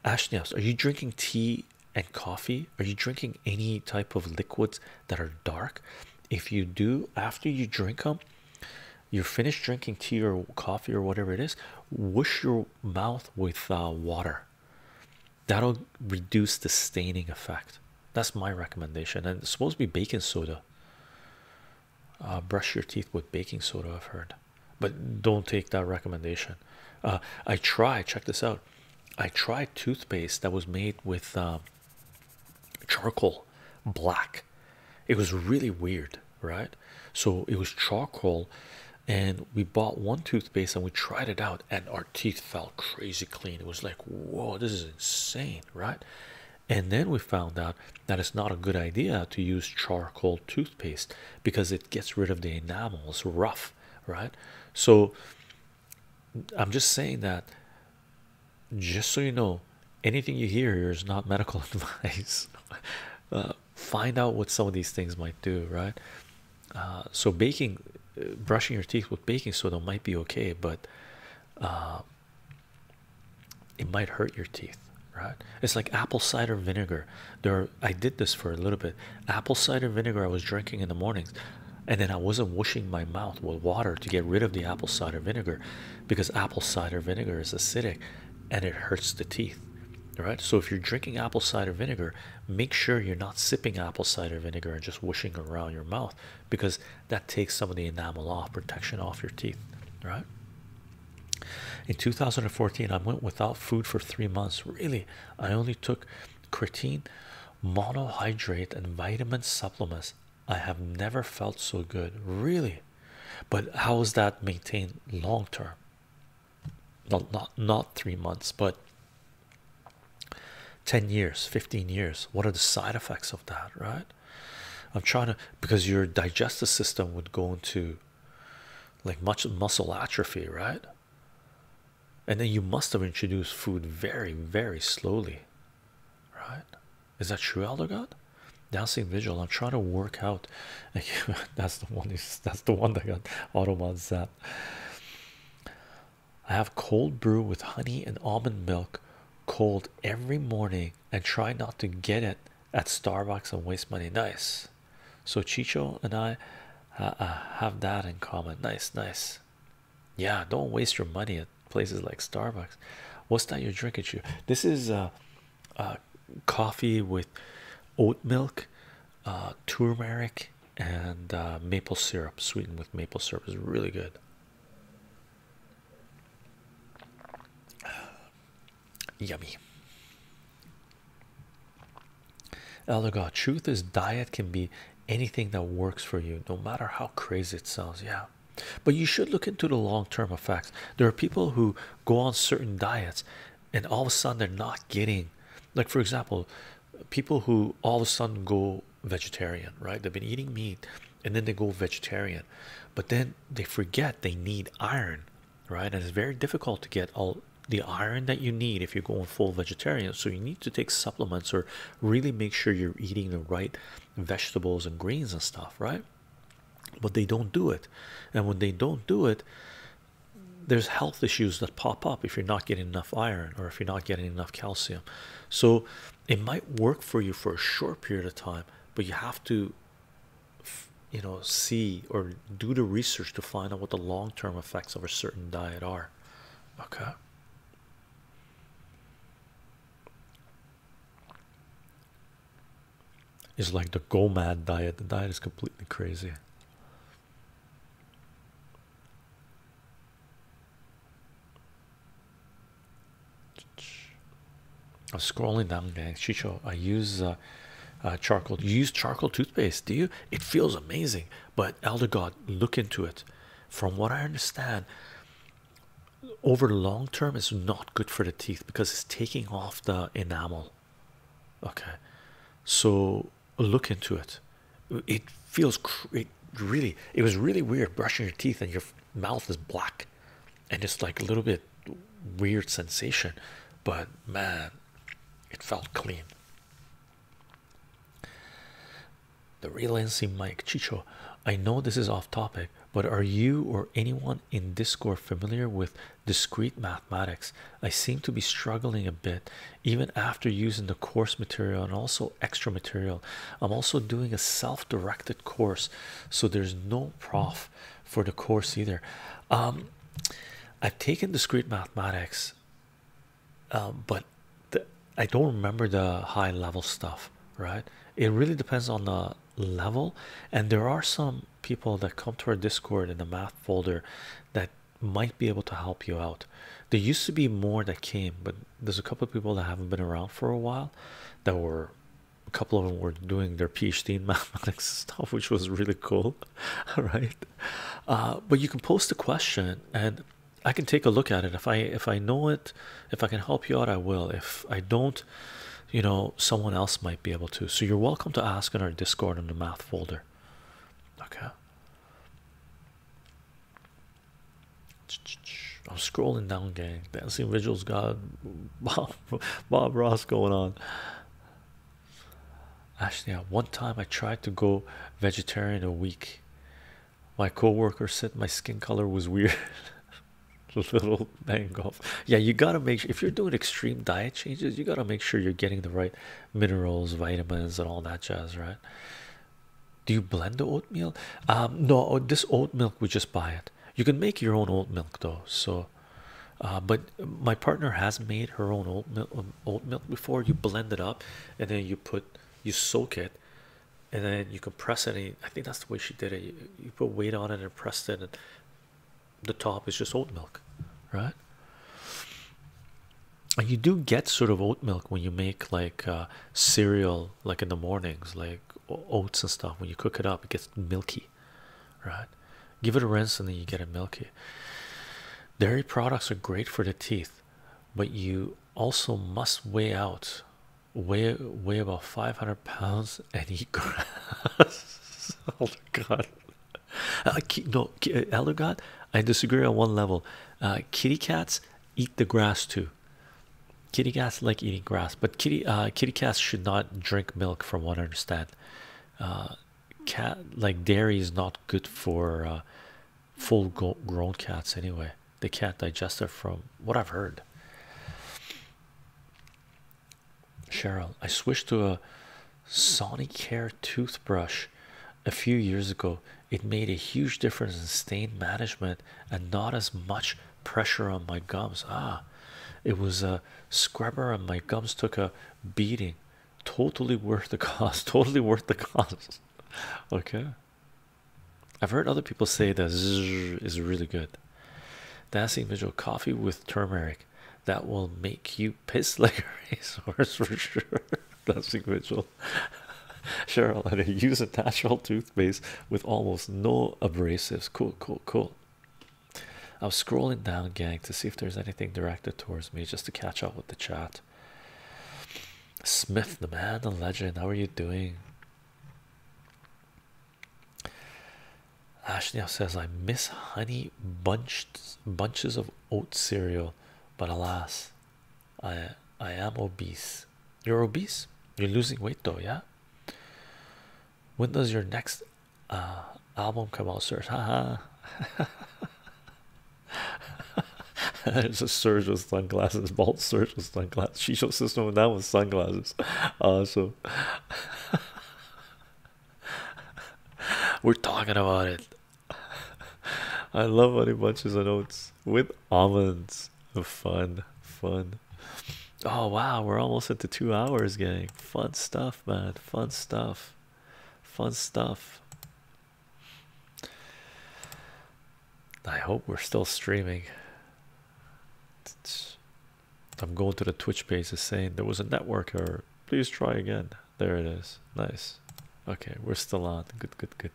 Ashley, are you drinking tea and coffee? Are you drinking any type of liquids that are dark? If you do, after you drink them, you're finished drinking tea or coffee or whatever it is, whoosh your mouth with uh, water that'll reduce the staining effect that's my recommendation and it's supposed to be baking soda uh, brush your teeth with baking soda i've heard but don't take that recommendation uh, i tried check this out i tried toothpaste that was made with um, charcoal black it was really weird right? So it was charcoal, and we bought one toothpaste and we tried it out, and our teeth felt crazy clean. It was like, whoa, this is insane, right? And then we found out that it's not a good idea to use charcoal toothpaste because it gets rid of the enamel, it's rough, right? So I'm just saying that just so you know, anything you hear here is not medical advice. Uh, find out what some of these things might do, right? Uh, so baking, uh, brushing your teeth with baking soda might be okay, but uh, it might hurt your teeth, right? It's like apple cider vinegar. There, I did this for a little bit. Apple cider vinegar I was drinking in the mornings, and then I wasn't washing my mouth with water to get rid of the apple cider vinegar, because apple cider vinegar is acidic and it hurts the teeth right so if you're drinking apple cider vinegar make sure you're not sipping apple cider vinegar and just wishing around your mouth because that takes some of the enamel off protection off your teeth right in 2014 i went without food for three months really i only took creatine monohydrate and vitamin supplements i have never felt so good really but how is that maintained long term not not, not three months but 10 years 15 years what are the side effects of that right i'm trying to because your digestive system would go into like much muscle atrophy right and then you must have introduced food very very slowly right is that true elder god dancing vigil i'm trying to work out that's the one that's the one that got Autobot that I have cold brew with honey and almond milk cold every morning and try not to get it at Starbucks and waste money. Nice. So Chicho and I uh, uh, have that in common. Nice, nice. Yeah, don't waste your money at places like Starbucks. What's that you're drinking? You this is uh, uh, coffee with oat milk, uh, turmeric, and uh, maple syrup, sweetened with maple syrup, is really good. Yummy. Elder truth is diet can be anything that works for you, no matter how crazy it sounds. Yeah. But you should look into the long term effects. There are people who go on certain diets and all of a sudden they're not getting like for example people who all of a sudden go vegetarian right they've been eating meat and then they go vegetarian but then they forget they need iron right and it's very difficult to get all the iron that you need if you're going full vegetarian so you need to take supplements or really make sure you're eating the right vegetables and greens and stuff right but they don't do it and when they don't do it there's health issues that pop up if you're not getting enough iron or if you're not getting enough calcium. So it might work for you for a short period of time, but you have to you know see or do the research to find out what the long-term effects of a certain diet are. Okay is like the go mad diet. The diet is completely crazy. I'm scrolling down, gang. Chicho, I use uh, uh, charcoal. You use charcoal toothpaste, do you? It feels amazing, but Elder God, look into it. From what I understand, over the long term, it's not good for the teeth because it's taking off the enamel okay so look into it it feels it really it was really weird brushing your teeth and your mouth is black and it's like a little bit weird sensation but man it felt clean the real NC Mike Chicho I know this is off topic but are you or anyone in Discord familiar with discrete mathematics i seem to be struggling a bit even after using the course material and also extra material i'm also doing a self-directed course so there's no prof for the course either um, i've taken discrete mathematics uh, but i don't remember the high level stuff right it really depends on the level and there are some people that come to our Discord in the math folder that might be able to help you out. There used to be more that came, but there's a couple of people that haven't been around for a while that were a couple of them were doing their PhD in mathematics stuff, which was really cool. right? Uh, but you can post a question and I can take a look at it. If I if I know it, if I can help you out, I will. If I don't, you know, someone else might be able to. So you're welcome to ask in our Discord in the math folder. Okay. I'm scrolling down, gang. Dancing Vigils got Bob, Ross going on. Actually, at one time I tried to go vegetarian a week. My co-worker said my skin color was weird. Little bang off. Yeah, you gotta make sure if you're doing extreme diet changes, you gotta make sure you're getting the right minerals, vitamins, and all that jazz, right? Do you blend the oatmeal? Um, no, oh, this oat milk we just buy it. You can make your own oat milk though. So, uh, but my partner has made her own oat milk, um, oat milk before. You blend it up, and then you put you soak it, and then you compress it. And I think that's the way she did it. You, put weight on it and press it, and the top is just oat milk, right? And you do get sort of oat milk when you make like uh, cereal, like in the mornings, like oats and stuff. When you cook it up, it gets milky, right? Give it a rinse and then you get it milky. Dairy products are great for the teeth, but you also must weigh out weigh weigh about 500 pounds and eat grass. oh god uh, no, uh, elder I disagree on one level. Uh, kitty cats eat the grass too. Kitty cats like eating grass, but kitty kitty cats should not drink milk, from what I understand. cat like dairy is not good for full grown cats anyway. They can't digest it, from what I've heard. Cheryl, I switched to a Sonicare toothbrush a few years ago. It made a huge difference in stain management and not as much pressure on my gums. Ah, it was a scrubber, and my gums took a beating. Totally worth the cost. Totally worth the cost. okay. I've heard other people say that is really good. That's Dancing Vigil coffee with turmeric that will make you piss like a racehorse for sure. That's sequential. Cheryl, and I use a natural toothpaste with almost no abrasives. Cool, cool, cool. I'm scrolling down, gang, to see if there's anything directed towards me just to catch up with the chat. Smith, the man, the legend, how are you doing? Ashley says, I miss honey bunched bunches of oat cereal, but alas, I I am obese. You're obese. You're losing weight though, yeah. When does your next uh, album come out, sir? Haha. There's a surge with sunglasses, bald surge with sunglasses. She shows system with that with sunglasses. Awesome. We're talking about it. I love honey bunches of oats with almonds. Oh, fun, fun. Oh wow, we're almost at the two hours, gang. Fun stuff, man. Fun stuff. Fun stuff. I hope we're still streaming. I'm going to the Twitch pages saying there was a network error. Please try again. There it is. Nice. Okay, we're still on. Good, good, good.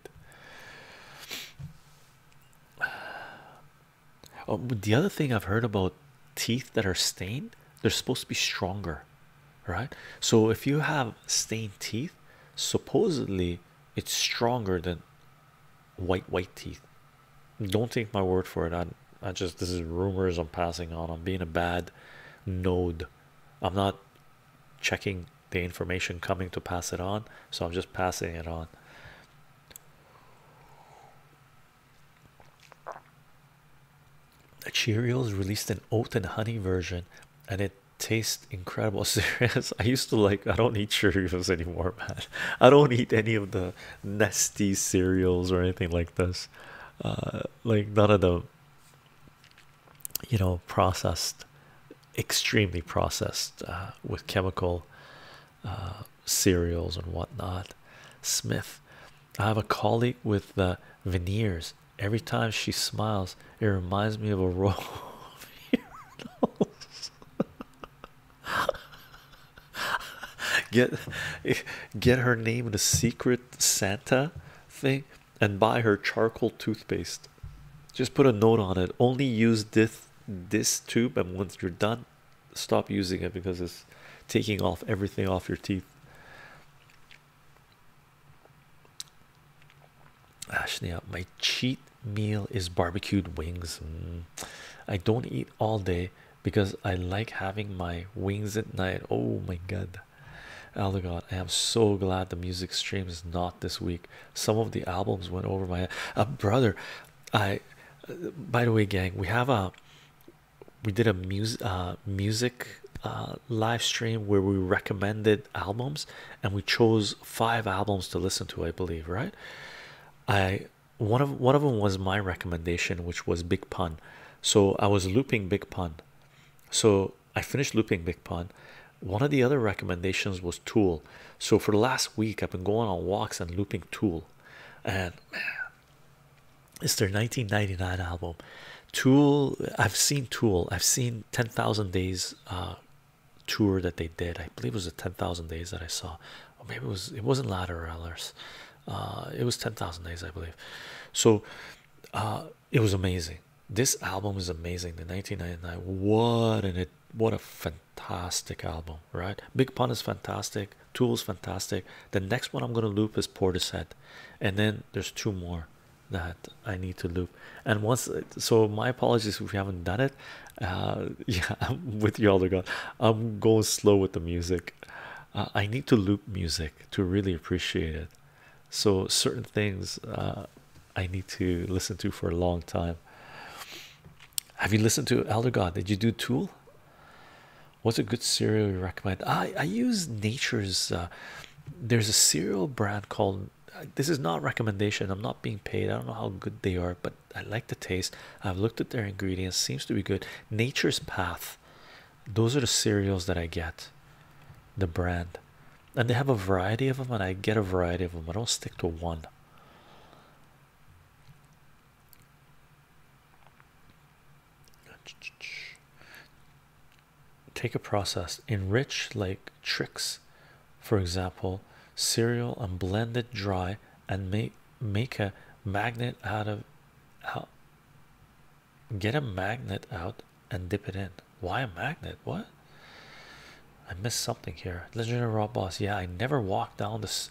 Oh, the other thing I've heard about teeth that are stained, they're supposed to be stronger, right? So if you have stained teeth, supposedly it's stronger than white white teeth. Don't take my word for it. I I just this is rumors I'm passing on. I'm being a bad node I'm not checking the information coming to pass it on, so I'm just passing it on. Cheerios released an oat and honey version, and it tastes incredible. Serious, I used to like. I don't eat Cheerios anymore, man. I don't eat any of the nasty cereals or anything like this. Uh, like none of the you know processed extremely processed uh, with chemical uh, cereals and whatnot smith i have a colleague with the uh, veneers every time she smiles it reminds me of a row of urinals. get get her name in a secret santa thing and buy her charcoal toothpaste. Just put a note on it. Only use this this tube, and once you're done, stop using it because it's taking off everything off your teeth. Ashley, my cheat meal is barbecued wings. Mm. I don't eat all day because I like having my wings at night. Oh my god. Aldegot, I am so glad the music stream is not this week. Some of the albums went over my head. Uh, brother, I. Uh, by the way, gang, we have a. We did a uh, music music uh, live stream where we recommended albums, and we chose five albums to listen to. I believe, right? I one of one of them was my recommendation, which was Big Pun. So I was looping Big Pun so I finished looping Big Pun. One of the other recommendations was Tool. So for the last week, I've been going on walks and looping Tool, and man, it's their 1999 album. Tool. I've seen Tool. I've seen 10,000 Days uh, tour that they did. I believe it was the 10,000 Days that I saw. maybe it was. It wasn't Ladder Ellers. Uh, it was 10,000 Days, I believe. So. Uh, it was amazing. This album is amazing. The 1999. What and it what a fantastic album, right? Big Pun is fantastic. Tools fantastic. The next one I'm gonna loop is Portishead, and then there's two more that I need to loop. And once, so my apologies if you haven't done it. Uh, yeah, with you, Elder God. I'm going slow with the music. Uh, I need to loop music to really appreciate it so certain things uh, I need to listen to for a long time. Have you listened to Elder God? Did you do Tool? What's a good cereal you recommend? I I use Nature's. Uh, there's a cereal brand called. This is not recommendation. I'm not being paid. I don't know how good they are, but I like the taste. I've looked at their ingredients. Seems to be good. Nature's Path. Those are the cereals that I get, the brand, and they have a variety of them. And I get a variety of them. I don't stick to one. Take a process, enrich like Trix, for example, cereal and blend it dry and make make a magnet out of Get a magnet out and dip it in. Why a magnet? What? I missed something here. Legendary Rob Boss. Yeah, I never walked down the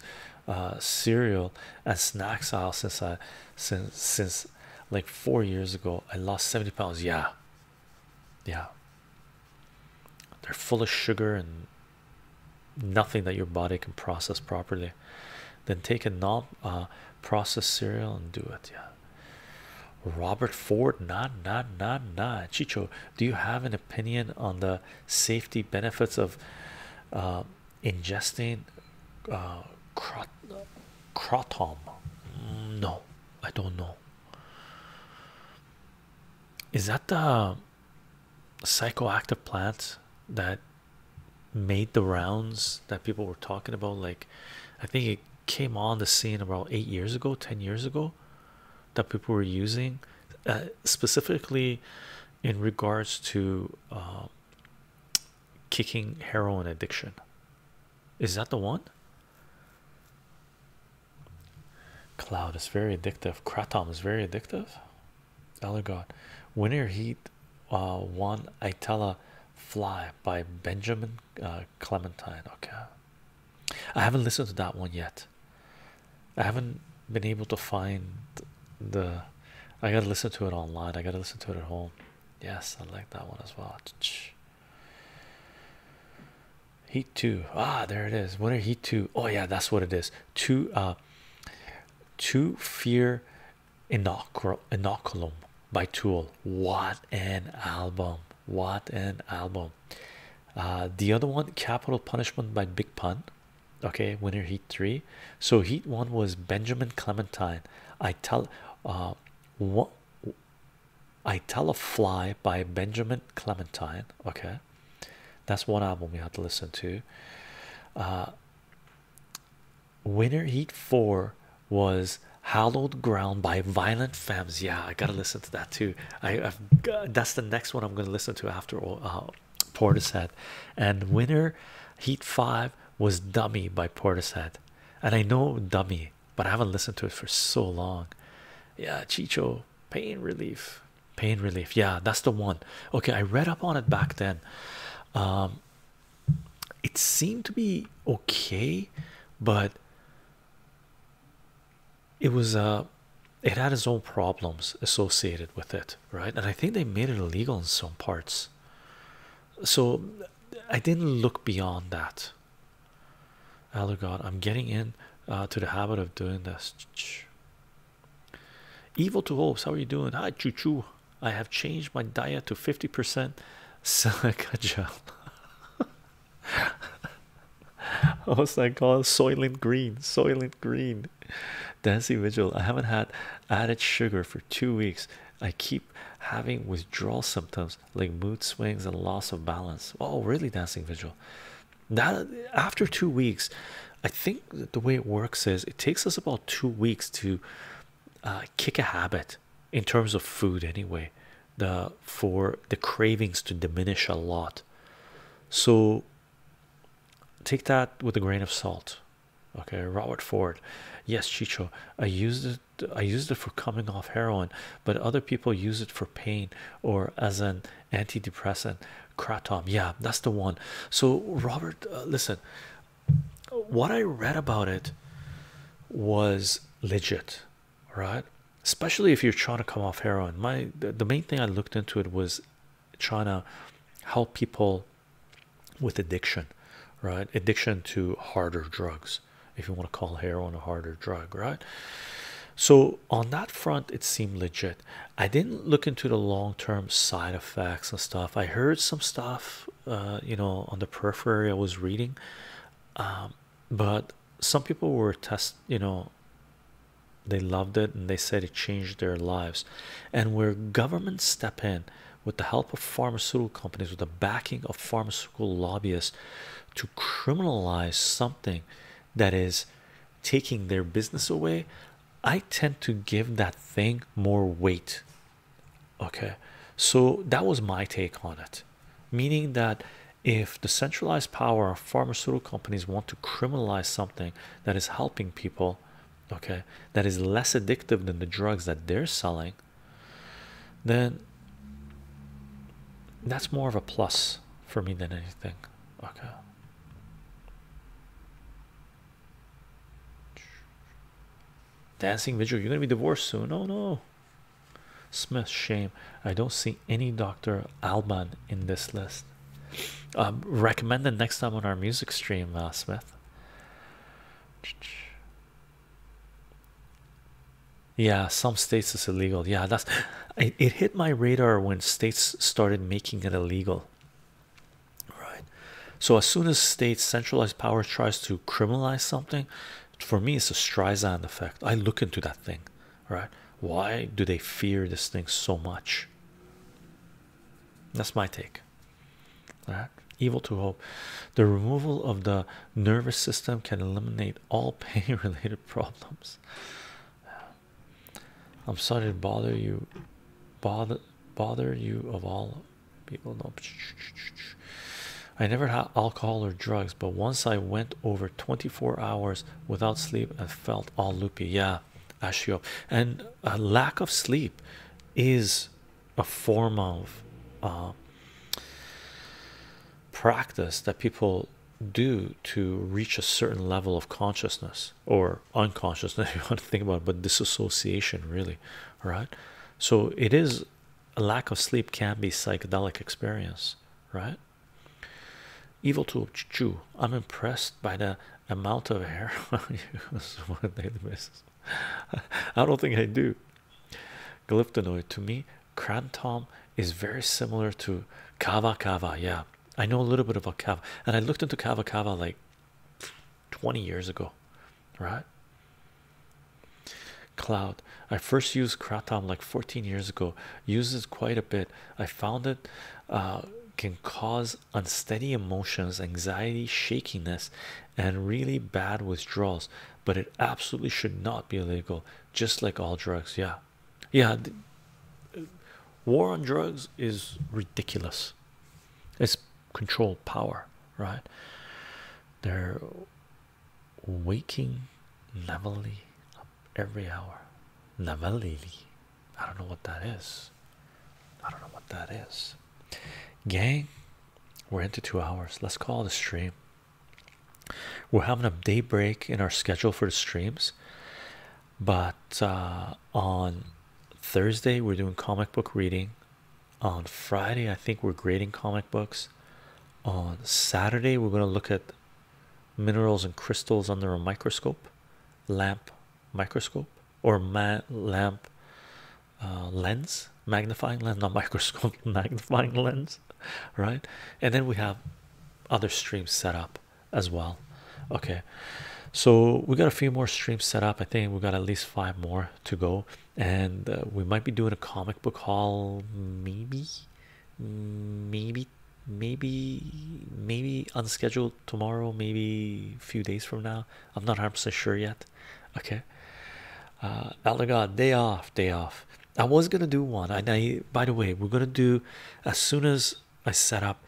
uh, cereal and snacks aisle since I since since like four years ago. I lost 70 pounds. Yeah, yeah. They're full of sugar and nothing that your body can process properly. Then take a non uh, process cereal and do it. Yeah, Robert Ford, not, not, not, not. Chicho, do you have an opinion on the safety benefits of uh, ingesting uh, No, I don't know. Is that the psychoactive plant that made the rounds that people were talking about like i think it came on the scene about eight years ago ten years ago that people were using uh, specifically in regards to uh, kicking heroin addiction is that the one cloud is very addictive kratom is very addictive Elder God winter heat uh, one itella fly by benjamin uh, Clementine. Okay, I haven't listened to that one yet. I haven't been able to find the. I gotta listen to it online. I gotta listen to it at home. Yes, I like that one as well. Heat two. Ah, there it is. What are heat two? Oh yeah, that's what it is. Two. Uh, two fear Inocul Inoculum by Tool. What an album! What an album! Uh, the other one, Capital Punishment by Big Pun. Okay, winner Heat 3. So, Heat 1 was Benjamin Clementine. I tell uh, what I Tell a Fly by Benjamin Clementine. Okay, that's one album we have to listen to. Uh, Winter Heat 4 was hallowed ground by violent femmes. Yeah, I gotta listen to that too. I, that's the next one I'm gonna listen to after all. Uh, Portishead and Winter Heat 5 was Dummy by Portishead, and I know Dummy, but I haven't listened to it for so long. Yeah, Chicho pain relief, pain relief. Yeah, that's the one. Okay, I read up on it back then. Um, it seemed to be okay, but it was uh it had its own problems associated with it, right? And I think they made it illegal in some parts. So I didn't look beyond that. Elder God, I'm getting in to the habit of doing this. Evil to hopes, how are you doing? Hi, choo choo. I have changed my diet to 50% silica gel. What's that called? Soylent Green. Soylent Green. Dancing Vigil. I haven't had added sugar for two weeks. I keep having withdrawal symptoms like mood swings and loss of balance. Oh, really? Dancing Vigil. That after two weeks, I think the way it works is it takes us about two weeks to uh, kick a habit in terms of food anyway the for the cravings to diminish a lot so take that with a grain of salt okay robert ford yes chicho i used it i used it for coming off heroin but other people use it for pain or as an antidepressant kratom yeah that's the one so robert uh, listen what I read about it was legit, right? Especially if you're trying to come off heroin. My the main thing I looked into it was trying to help people with addiction, right? Addiction to harder drugs, if you want to call heroin a harder drug, right? So on that front, it seemed legit. I didn't look into the long-term side effects and stuff. I heard some stuff, uh, you know, on the periphery. I was reading um, but some people were test you know they loved it and they said it changed their lives and where governments step in with the help of pharmaceutical companies with the backing of pharmaceutical lobbyists to criminalize something that is taking their business away i tend to give that thing more weight Okay, so that was my take on it, meaning that if the centralized power of pharmaceutical companies want to criminalize something that is helping people, okay, that is less addictive than the drugs that they're selling, then that's more of a plus for me than anything. Okay. Dancing visual, you're gonna be divorced soon. Oh no, Smith, shame. I don't see any Dr. Alban in this list. Um, Recommended next time on our music stream, uh, Smith. Yeah, some states is illegal. Yeah, that's it, it hit my radar when states started making it illegal. Right. So as soon as state centralized power tries to criminalize something, for me it's a Streisand effect I look into that thing right why do they fear this thing so much that's my take all right evil to hope the removal of the nervous system can eliminate all pain related problems I'm sorry to bother you bother bother you of all people know. I never had alcohol or drugs, but once I went over 24 hours without sleep and felt all loopy. Yeah, ashio. And a lack of sleep is a form of uh, practice that people do to reach a certain level of consciousness or unconsciousness, you want to think about but disassociation, really. right? So it is a lack of sleep can be psychedelic experience, right? Evil to chew. I'm impressed by the amount of hair on you. I don't think I do. Glyptonoid to me, Crantom is very similar to Kava Kava. Yeah, I know a little bit about Kava, and I looked into Kava Kava like 20 years ago right? Cloud. I first used Kratom like 14 years ago. Uses quite a bit. I found it uh, can cause unsteady emotions, anxiety, shakiness, and really bad withdrawals. But it absolutely should not be illegal, just like all drugs. Yeah, yeah. War on drugs is ridiculous. It's control power, right? There waking levelly up every hour. Levelly, I don't know what that is. I don't know what that is. Gang, we're into two hours. Let's call the stream. We're having a day break in our schedule for the streams, but uh, on Thursday, we're doing comic book reading on Friday, I think we're grading comic books. On Saturday, we're going to look at minerals and crystals under a microscope, lamp microscope, or ma lamp uh, lens, magnifying lens, not microscope, magnifying lens, right? And then we have other streams set up as well. Okay, so we got a few more streams set up. I think we got at least five more to go and uh, we might be doing a comic book haul maybe maybe maybe maybe unscheduled tomorrow maybe a few days from now i'm not 100% sure yet okay uh elder god day off day off i was gonna do one and i by the way we're gonna do as soon as i set up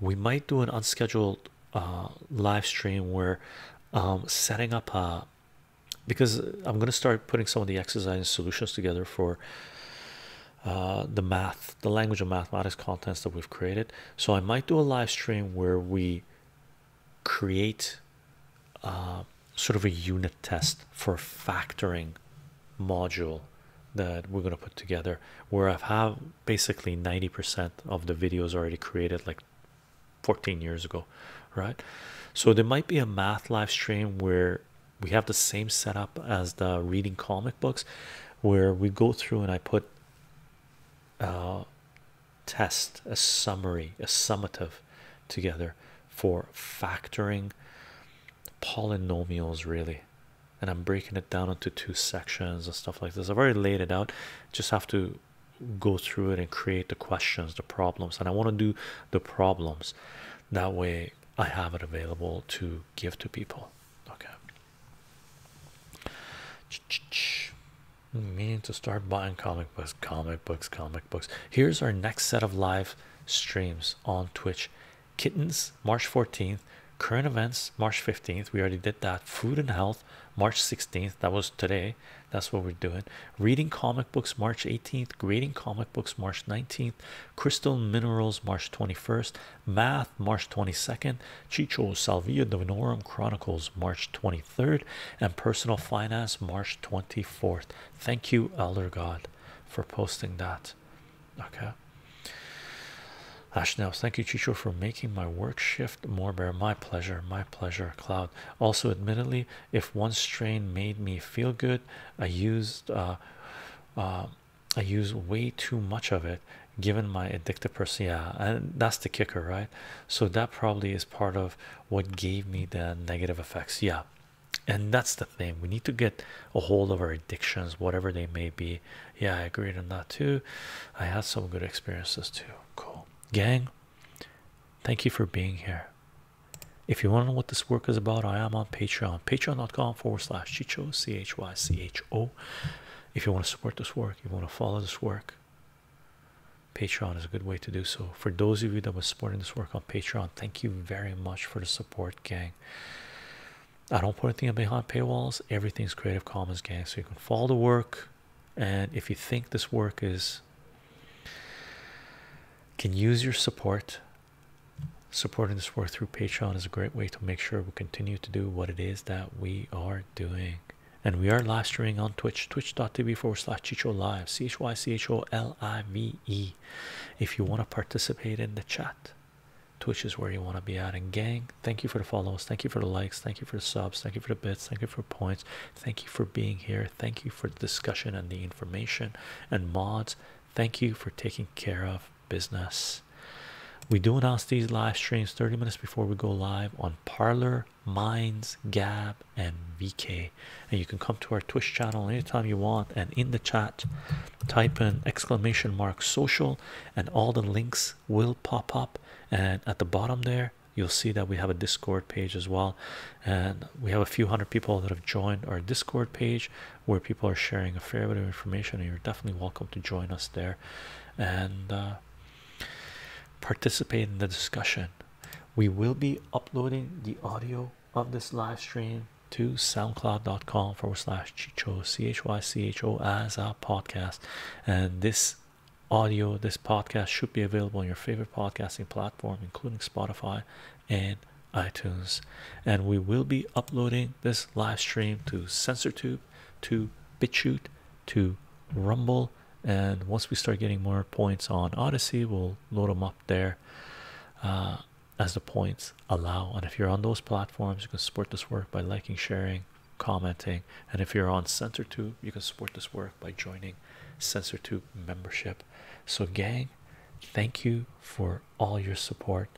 we might do an unscheduled uh live stream where um setting up a because I'm going to start putting some of the exercise solutions together for uh, the math, the language of mathematics contents that we've created. So I might do a live stream where we create uh, sort of a unit test for factoring module that we're going to put together where I have basically 90% of the videos already created like 14 years ago, right? So there might be a math live stream where we have the same setup as the reading comic books, where we go through and I put uh, test a summary, a summative together for factoring polynomials, really. And I'm breaking it down into two sections and stuff like this. I've already laid it out, just have to go through it and create the questions, the problems, and I want to do the problems that way I have it available to give to people. Okay, meaning to start buying comic books, comic books, comic books. Here's our next set of live streams on Twitch kittens, March 14th. Current events, March 15th. We already did that. Food and health, March 16th. That was today. That's what we're doing. Reading comic books March 18th, grading comic books March 19th, crystal minerals March 21st, math March 22nd, Chicho Salvia Divinorum Chronicles March 23rd, and personal finance March 24th. Thank you, Elder God, for posting that. Okay. Ashnels, thank you, Chicho, for making my work shift more bear. My pleasure, my pleasure, Cloud. Also, admittedly, if one strain made me feel good i used uh, uh, i used way too much of it given my addictive person yeah and that's the kicker right so that probably is part of what gave me the negative effects yeah and that's the thing we need to get a hold of our addictions whatever they may be yeah i agree on that too i had some good experiences too cool gang thank you for being here if you want to know what this work is about, I am on Patreon, patreon.com forward slash Chicho, C H Y C H O. If you want to support this work, you want to follow this work, Patreon is a good way to do so. For those of you that were supporting this work on Patreon, thank you very much for the support, gang. I don't put anything behind paywalls, everything's Creative Commons, gang. So you can follow the work, and if you think this work is can use your support supporting this work through patreon is a great way to make sure we continue to do what it is that we are doing and we are live streaming on twitch twitch.tv forward slash chicho live c-h-y-c-h-o-l-i-v-e if you want to participate in the chat twitch is where you want to be at and gang thank you for the follows thank you for the likes thank you for the subs thank you for the bits thank you for points thank you for being here Thank you for the discussion and the information. And mods, thank you for taking care of business. We do announce these live streams 30 minutes before we go live on Parlor, Minds, Gab, and VK. And you can come to our Twitch channel anytime you want. And in the chat, type in exclamation mark social, and all the links will pop up. And at the bottom there, you'll see that we have a Discord page as well and we have a few hundred people that have joined our discord page where people are sharing a fair bit of information and you're definitely welcome to join us there and uh, participate in the discussion we will be uploading the audio of this live stream to soundcloud.com forward slash chicho chycho as a podcast and this audio this podcast should be available on your favorite podcasting platform including spotify and iTunes. And we will be uploading this live stream to SensorTube, to BitChute, to Rumble. And once we start getting more points on Odyssey, we'll load them up there uh, as the points allow. And if you're on those platforms, you can support this work by liking, sharing, commenting. And if you're on SensorTube, you can support this work by joining SensorTube membership. So, gang, thank you for all your support.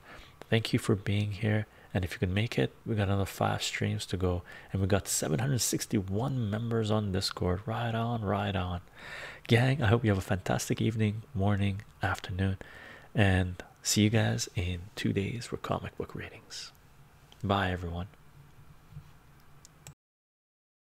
Thank you for being here. And if you can make it, we got another five streams to go, and we got 761 members on Discord. Right on, right on, gang. I hope you have a fantastic evening, morning, afternoon, and see you guys in two days for comic book readings. Bye, everyone.